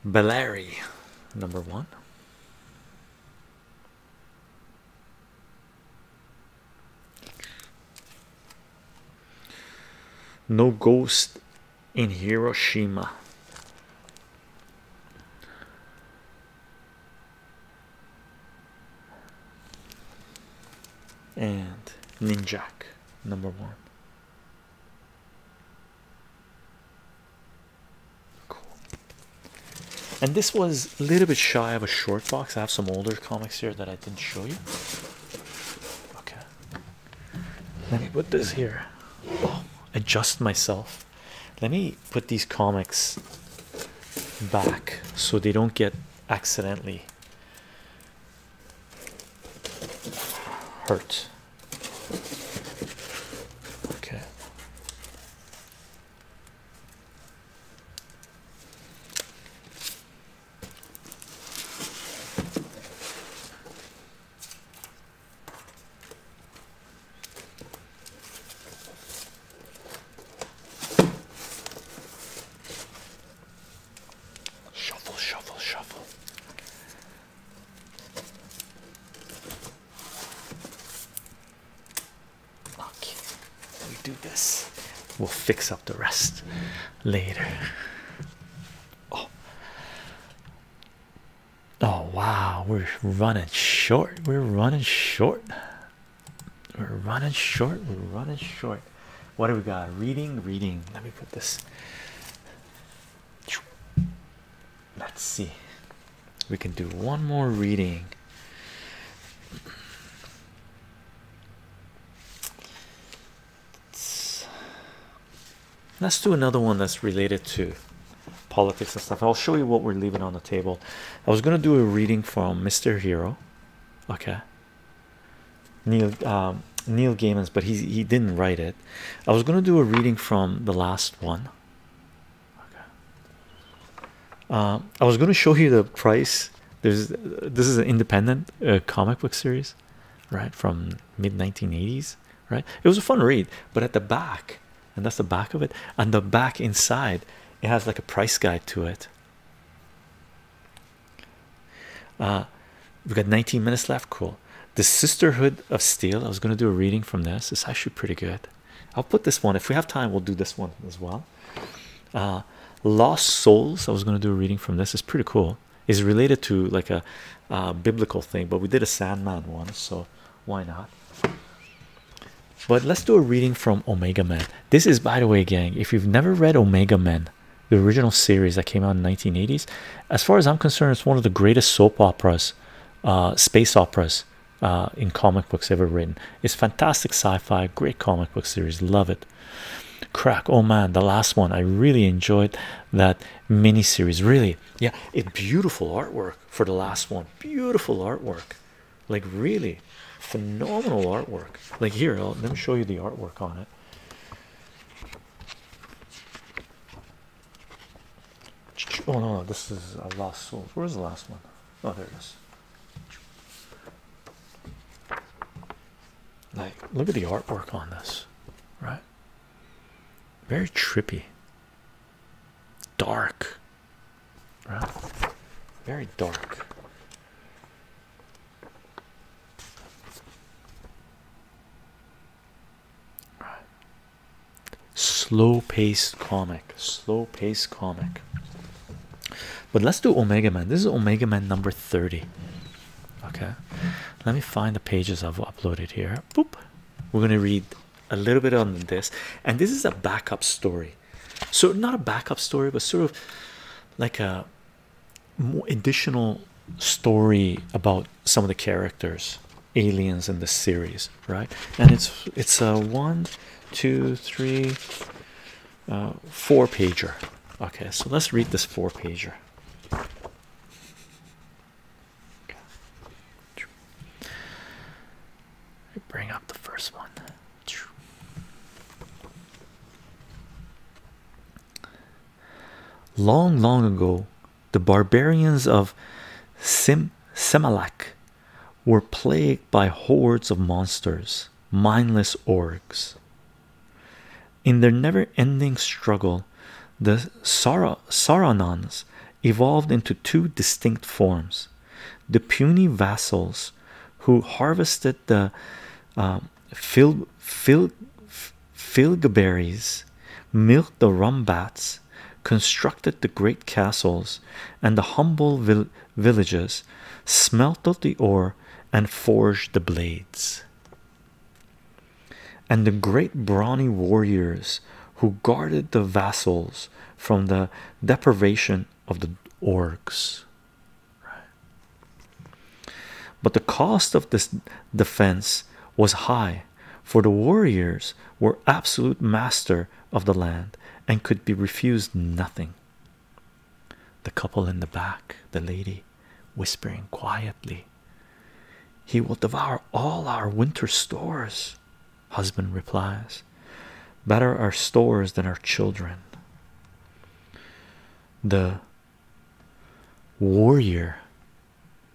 Bellary, number one. No ghost in Hiroshima. And Ninjak, number one. Cool. And this was a little bit shy of a short box. I have some older comics here that I didn't show you. Okay. Let me put this here. Oh, adjust myself. Let me put these comics back so they don't get accidentally hurt. Okay. Shuffle, shuffle, shuffle. Okay, we do this. We'll fix up the rest later. Oh. oh wow, we're running short. We're running short. We're running short. We're running short. What do we got? Reading, reading. Let me put this. Let's see. We can do one more reading let's do another one that's related to politics and stuff. I'll show you what we're leaving on the table. I was gonna do a reading from Mr. Hero, okay. Neil um, Neil Gaiman's, but he he didn't write it. I was gonna do a reading from the last one. Okay. Um, I was gonna show you the price. There's this is an independent uh, comic book series right from mid 1980s right it was a fun read but at the back and that's the back of it and the back inside it has like a price guide to it uh, we've got 19 minutes left cool the sisterhood of steel i was going to do a reading from this it's actually pretty good i'll put this one if we have time we'll do this one as well uh, lost souls i was going to do a reading from this it's pretty cool is related to like a biblical thing, but we did a Sandman one, so why not? But let's do a reading from Omega Men. This is, by the way, gang, if you've never read Omega Men, the original series that came out in the 1980s, as far as I'm concerned, it's one of the greatest soap operas, uh, space operas uh, in comic books ever written. It's fantastic sci-fi, great comic book series, love it. Crack, oh man, the last one I really enjoyed that mini series really yeah it beautiful artwork for the last one beautiful artwork like really phenomenal artwork like here let me show you the artwork on it oh no, no this is a lost soul where's the last one? Oh, there it is like look at the artwork on this right very trippy, dark, right? Very dark. Right. Slow paced comic, slow paced comic. But let's do Omega Man. This is Omega Man number 30. Okay, let me find the pages I've uploaded here. Boop. We're gonna read a little bit on this, and this is a backup story. So not a backup story, but sort of like a more additional story about some of the characters, aliens in this series, right? And it's it's a one, two, three, uh, four pager. Okay, so let's read this four pager. Okay. Bring up the first one. Long, long ago, the barbarians of Sim were plagued by hordes of monsters, mindless orcs in their never-ending struggle the Sara Saranans evolved into two distinct forms the puny vassals who harvested the um, berries, fil milked the rumbats constructed the great castles and the humble vil villages smelted the ore and forged the blades and the great brawny warriors who guarded the vassals from the deprivation of the orks, But the cost of this defense was high, for the warriors were absolute master of the land and could be refused nothing. The couple in the back, the lady whispering quietly, he will devour all our winter stores, husband replies. Better our stores than our children. The warrior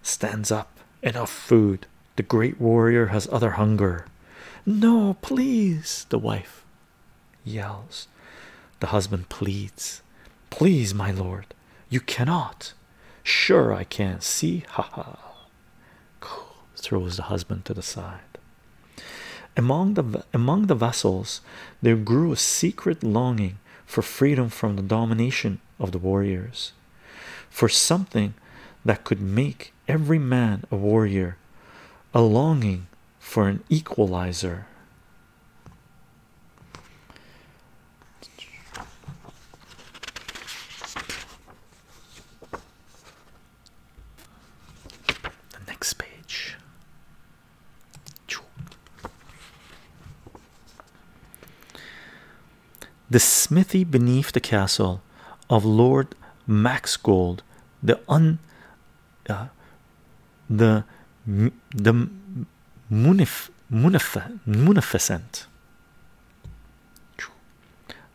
stands up. Enough food. The great warrior has other hunger. No, please, the wife yells. The husband pleads, Please, my lord, you cannot. Sure, I can. See, Ha ha. Throws the husband to the side. Among the among the vassals, there grew a secret longing for freedom from the domination of the warriors, for something that could make every man a warrior, a longing for an equalizer. The next page. The smithy beneath the castle of Lord Maxgold, the un, uh, the the munif munificent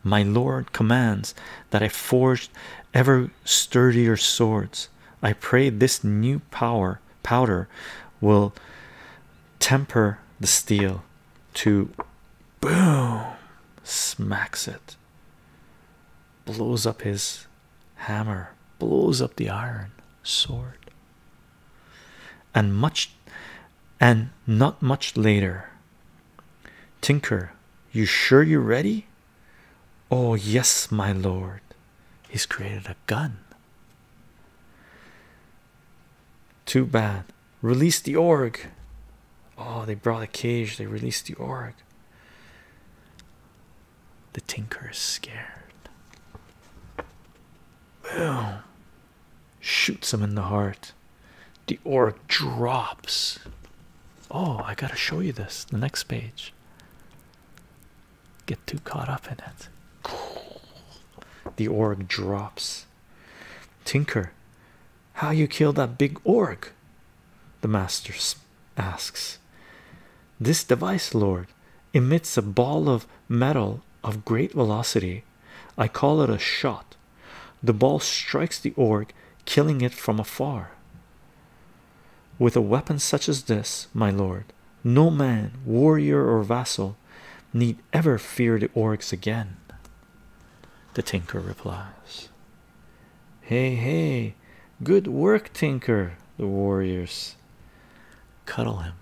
my lord commands that i forge ever sturdier swords i pray this new power powder will temper the steel to boom smacks it blows up his hammer blows up the iron sword and much and not much later tinker you sure you're ready oh yes my lord he's created a gun too bad release the org oh they brought a cage they released the org the tinker is scared Boom shoots him in the heart. The org drops. Oh, I gotta show you this. The next page. Get too caught up in it. The org drops. Tinker, how you kill that big org? The master asks. This device, Lord, emits a ball of metal of great velocity. I call it a shot. The ball strikes the org, killing it from afar. With a weapon such as this, my lord, no man, warrior, or vassal need ever fear the orcs again. The tinker replies. Hey, hey, good work, tinker, the warriors cuddle him.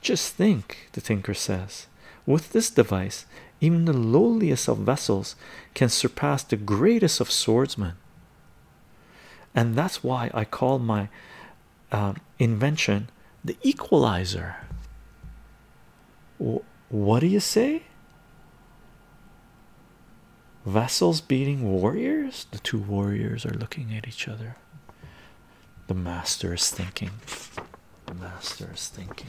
Just think, the thinker says, with this device, even the lowliest of vessels can surpass the greatest of swordsmen. And that's why I call my um, invention the equalizer. what do you say? Vessels beating warriors? The two warriors are looking at each other. The master is thinking. The master is thinking.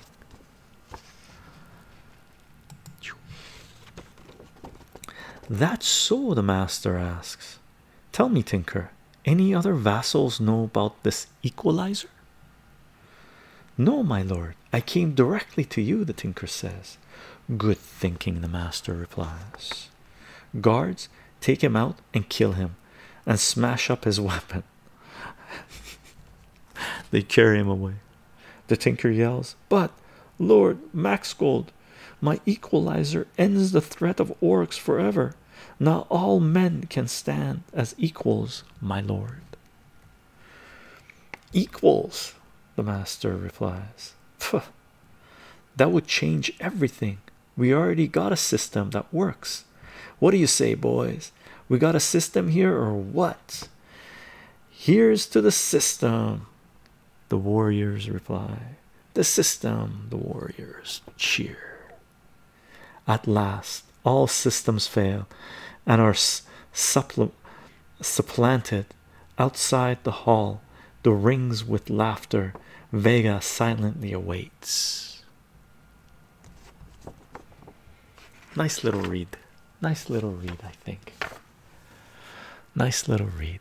That's so, the master asks. Tell me, Tinker, any other vassals know about this equalizer? No, my lord, I came directly to you, the tinker says. Good thinking, the master replies. Guards, take him out and kill him and smash up his weapon. they carry him away. The tinker yells, But Lord Maxgold, my equalizer ends the threat of orcs forever. Now all men can stand as equals, my lord. Equals, the master replies. Pff, that would change everything. We already got a system that works. What do you say, boys? We got a system here or what? Here's to the system. The warriors reply. The system, the warriors cheer. At last, all systems fail and are suppl supplanted outside the hall. The rings with laughter, Vega silently awaits. Nice little read. Nice little read, I think. Nice little read.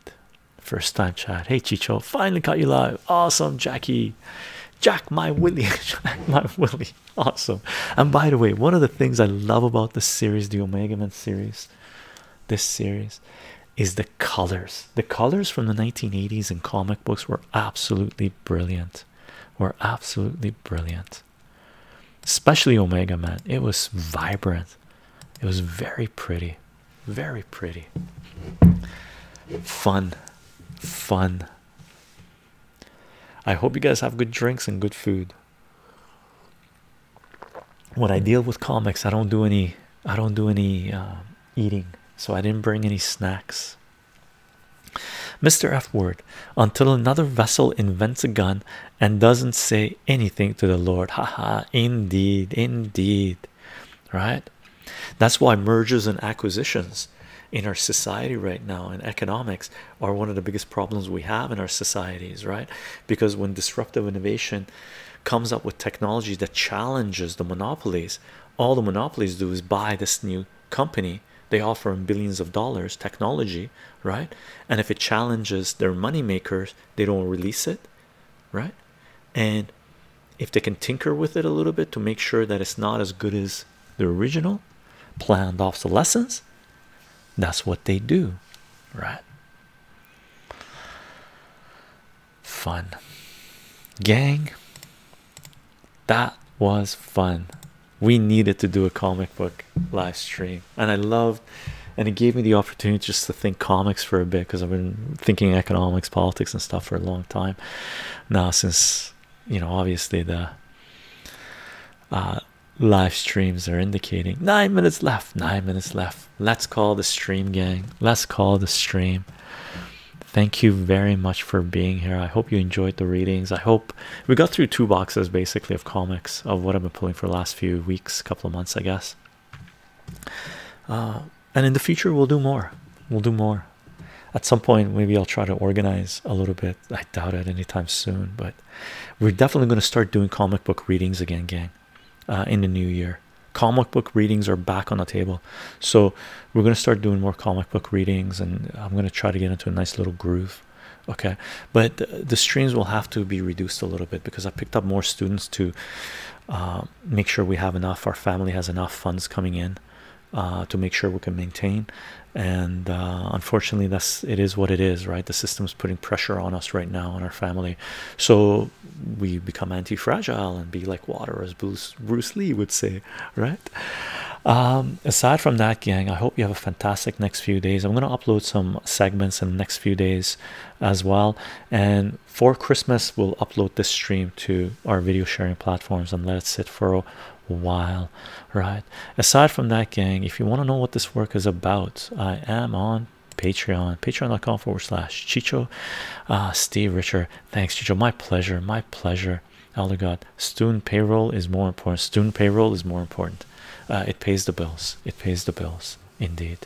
First time chat. Hey Chicho, finally caught you live. Awesome, Jackie. Jack my Willie. my Willie. Awesome. And by the way, one of the things I love about this series, the Omega Man series, this series, is the the colors the colors from the 1980s in comic books were absolutely brilliant were absolutely brilliant especially omega man it was vibrant it was very pretty very pretty fun fun i hope you guys have good drinks and good food when i deal with comics i don't do any i don't do any uh, eating, so I didn't bring any snacks. Mr. F word until another vessel invents a gun and doesn't say anything to the Lord. Haha, indeed, indeed. Right? That's why mergers and acquisitions in our society right now and economics are one of the biggest problems we have in our societies, right? Because when disruptive innovation comes up with technology that challenges the monopolies, all the monopolies do is buy this new company they offer them billions of dollars technology right and if it challenges their money makers they don't release it right and if they can tinker with it a little bit to make sure that it's not as good as the original planned obsolescence that's what they do right fun gang that was fun we needed to do a comic book live stream and i loved and it gave me the opportunity just to think comics for a bit because i've been thinking economics politics and stuff for a long time now since you know obviously the uh live streams are indicating nine minutes left nine minutes left let's call the stream gang let's call the stream Thank you very much for being here. I hope you enjoyed the readings. I hope we got through two boxes basically of comics of what I've been pulling for the last few weeks, couple of months, I guess. Uh, and in the future, we'll do more. We'll do more. At some point, maybe I'll try to organize a little bit. I doubt it anytime soon, but we're definitely going to start doing comic book readings again, gang, uh, in the new year comic book readings are back on the table so we're going to start doing more comic book readings and i'm going to try to get into a nice little groove okay but the streams will have to be reduced a little bit because i picked up more students to uh, make sure we have enough our family has enough funds coming in uh, to make sure we can maintain and uh, unfortunately that's it is what it is right the system is putting pressure on us right now on our family so we become anti-fragile and be like water Bruce, Bruce Lee would say, right? Um, aside from that, gang, I hope you have a fantastic next few days. I'm going to upload some segments in the next few days as well. And for Christmas, we'll upload this stream to our video sharing platforms and let it sit for a while, right? Aside from that, gang, if you want to know what this work is about, I am on patreon patreon.com forward slash chicho uh, steve richer Thanks, Chicho. My pleasure. My pleasure. Elder God. Student payroll is more important. Student payroll is more important. Uh, it pays the bills. It pays the bills. Indeed.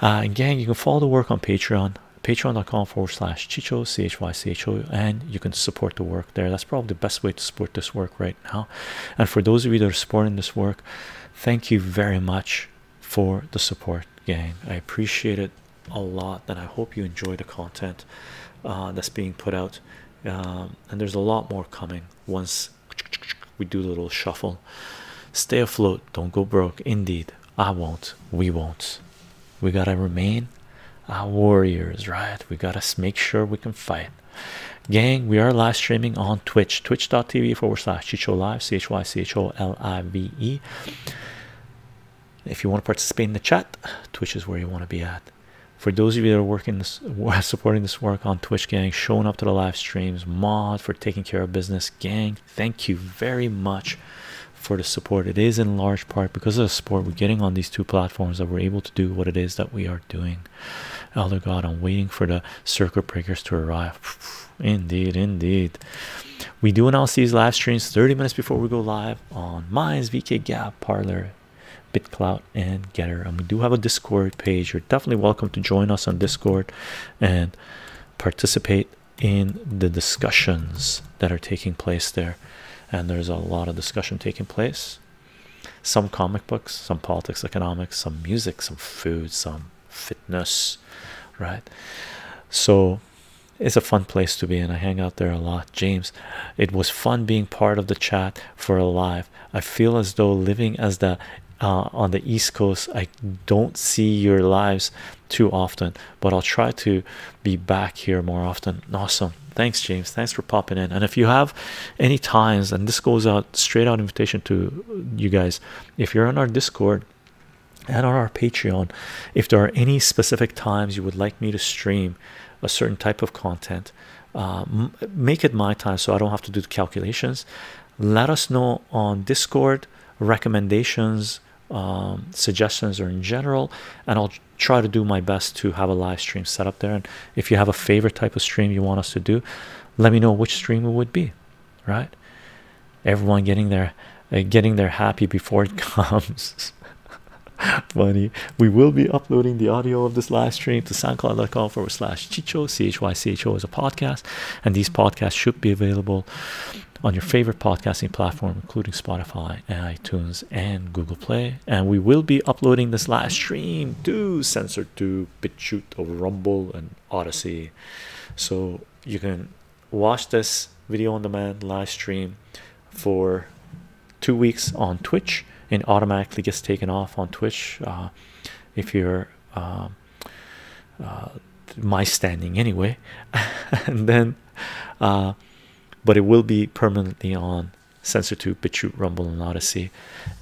Uh, gang, you can follow the work on Patreon. Patreon.com forward slash Chicho, C-H-Y-C-H-O. And you can support the work there. That's probably the best way to support this work right now. And for those of you that are supporting this work, thank you very much for the support, gang. I appreciate it a lot and i hope you enjoy the content uh, that's being put out um, and there's a lot more coming once we do a little shuffle stay afloat don't go broke indeed i won't we won't we gotta remain our warriors right we gotta make sure we can fight gang we are live streaming on twitch twitch.tv forward slash chicho live c-h-y-c-h-o-l-i-v-e if you want to participate in the chat, Twitch is where you want to be at. For those of you that are working this, supporting this work on Twitch, gang, showing up to the live streams, mod for taking care of business, gang. Thank you very much for the support. It is in large part because of the support we're getting on these two platforms that we're able to do what it is that we are doing. Elder God, I'm waiting for the circuit breakers to arrive. Indeed, indeed. We do announce these live streams 30 minutes before we go live on Minds, VK Gap, Parlor, BitClout, and Getter. And we do have a Discord page. You're definitely welcome to join us on Discord and participate in the discussions that are taking place there. And there's a lot of discussion taking place. Some comic books, some politics, economics, some music, some food, some fitness, right? So it's a fun place to be and i hang out there a lot james it was fun being part of the chat for a live i feel as though living as the uh, on the east coast i don't see your lives too often but i'll try to be back here more often awesome thanks james thanks for popping in and if you have any times and this goes out straight out invitation to you guys if you're on our discord and on our Patreon, if there are any specific times you would like me to stream a certain type of content, uh, make it my time so I don't have to do the calculations. Let us know on Discord recommendations, um, suggestions, or in general, and I'll try to do my best to have a live stream set up there. And if you have a favorite type of stream you want us to do, let me know which stream it would be. Right, everyone getting there and getting there happy before it comes. Funny, we will be uploading the audio of this live stream to soundcloud.com forward slash chicho. C H Y C H O is a podcast, and these podcasts should be available on your favorite podcasting platform, including Spotify iTunes and Google Play. And we will be uploading this live stream to Censored to BitChute, Rumble, and Odyssey. So you can watch this video on demand live stream for two weeks on Twitch and automatically gets taken off on Twitch uh, if you're uh, uh, my standing anyway and then but it will be permanently on sensor to BitChute, rumble and odyssey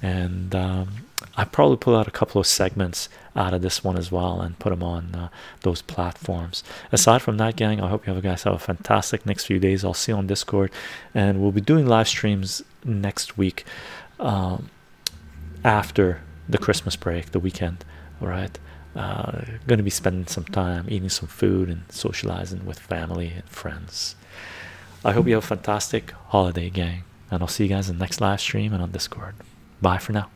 and um, I probably pull out a couple of segments out of this one as well and put them on those platforms. Aside from that, gang, I hope you guys have a fantastic next few days. I'll see you on Discord, and we'll be doing live streams next week um, after the Christmas break, the weekend. All right, uh, going to be spending some time eating some food and socializing with family and friends. I hope you have a fantastic holiday, gang, and I'll see you guys in the next live stream and on Discord. Bye for now.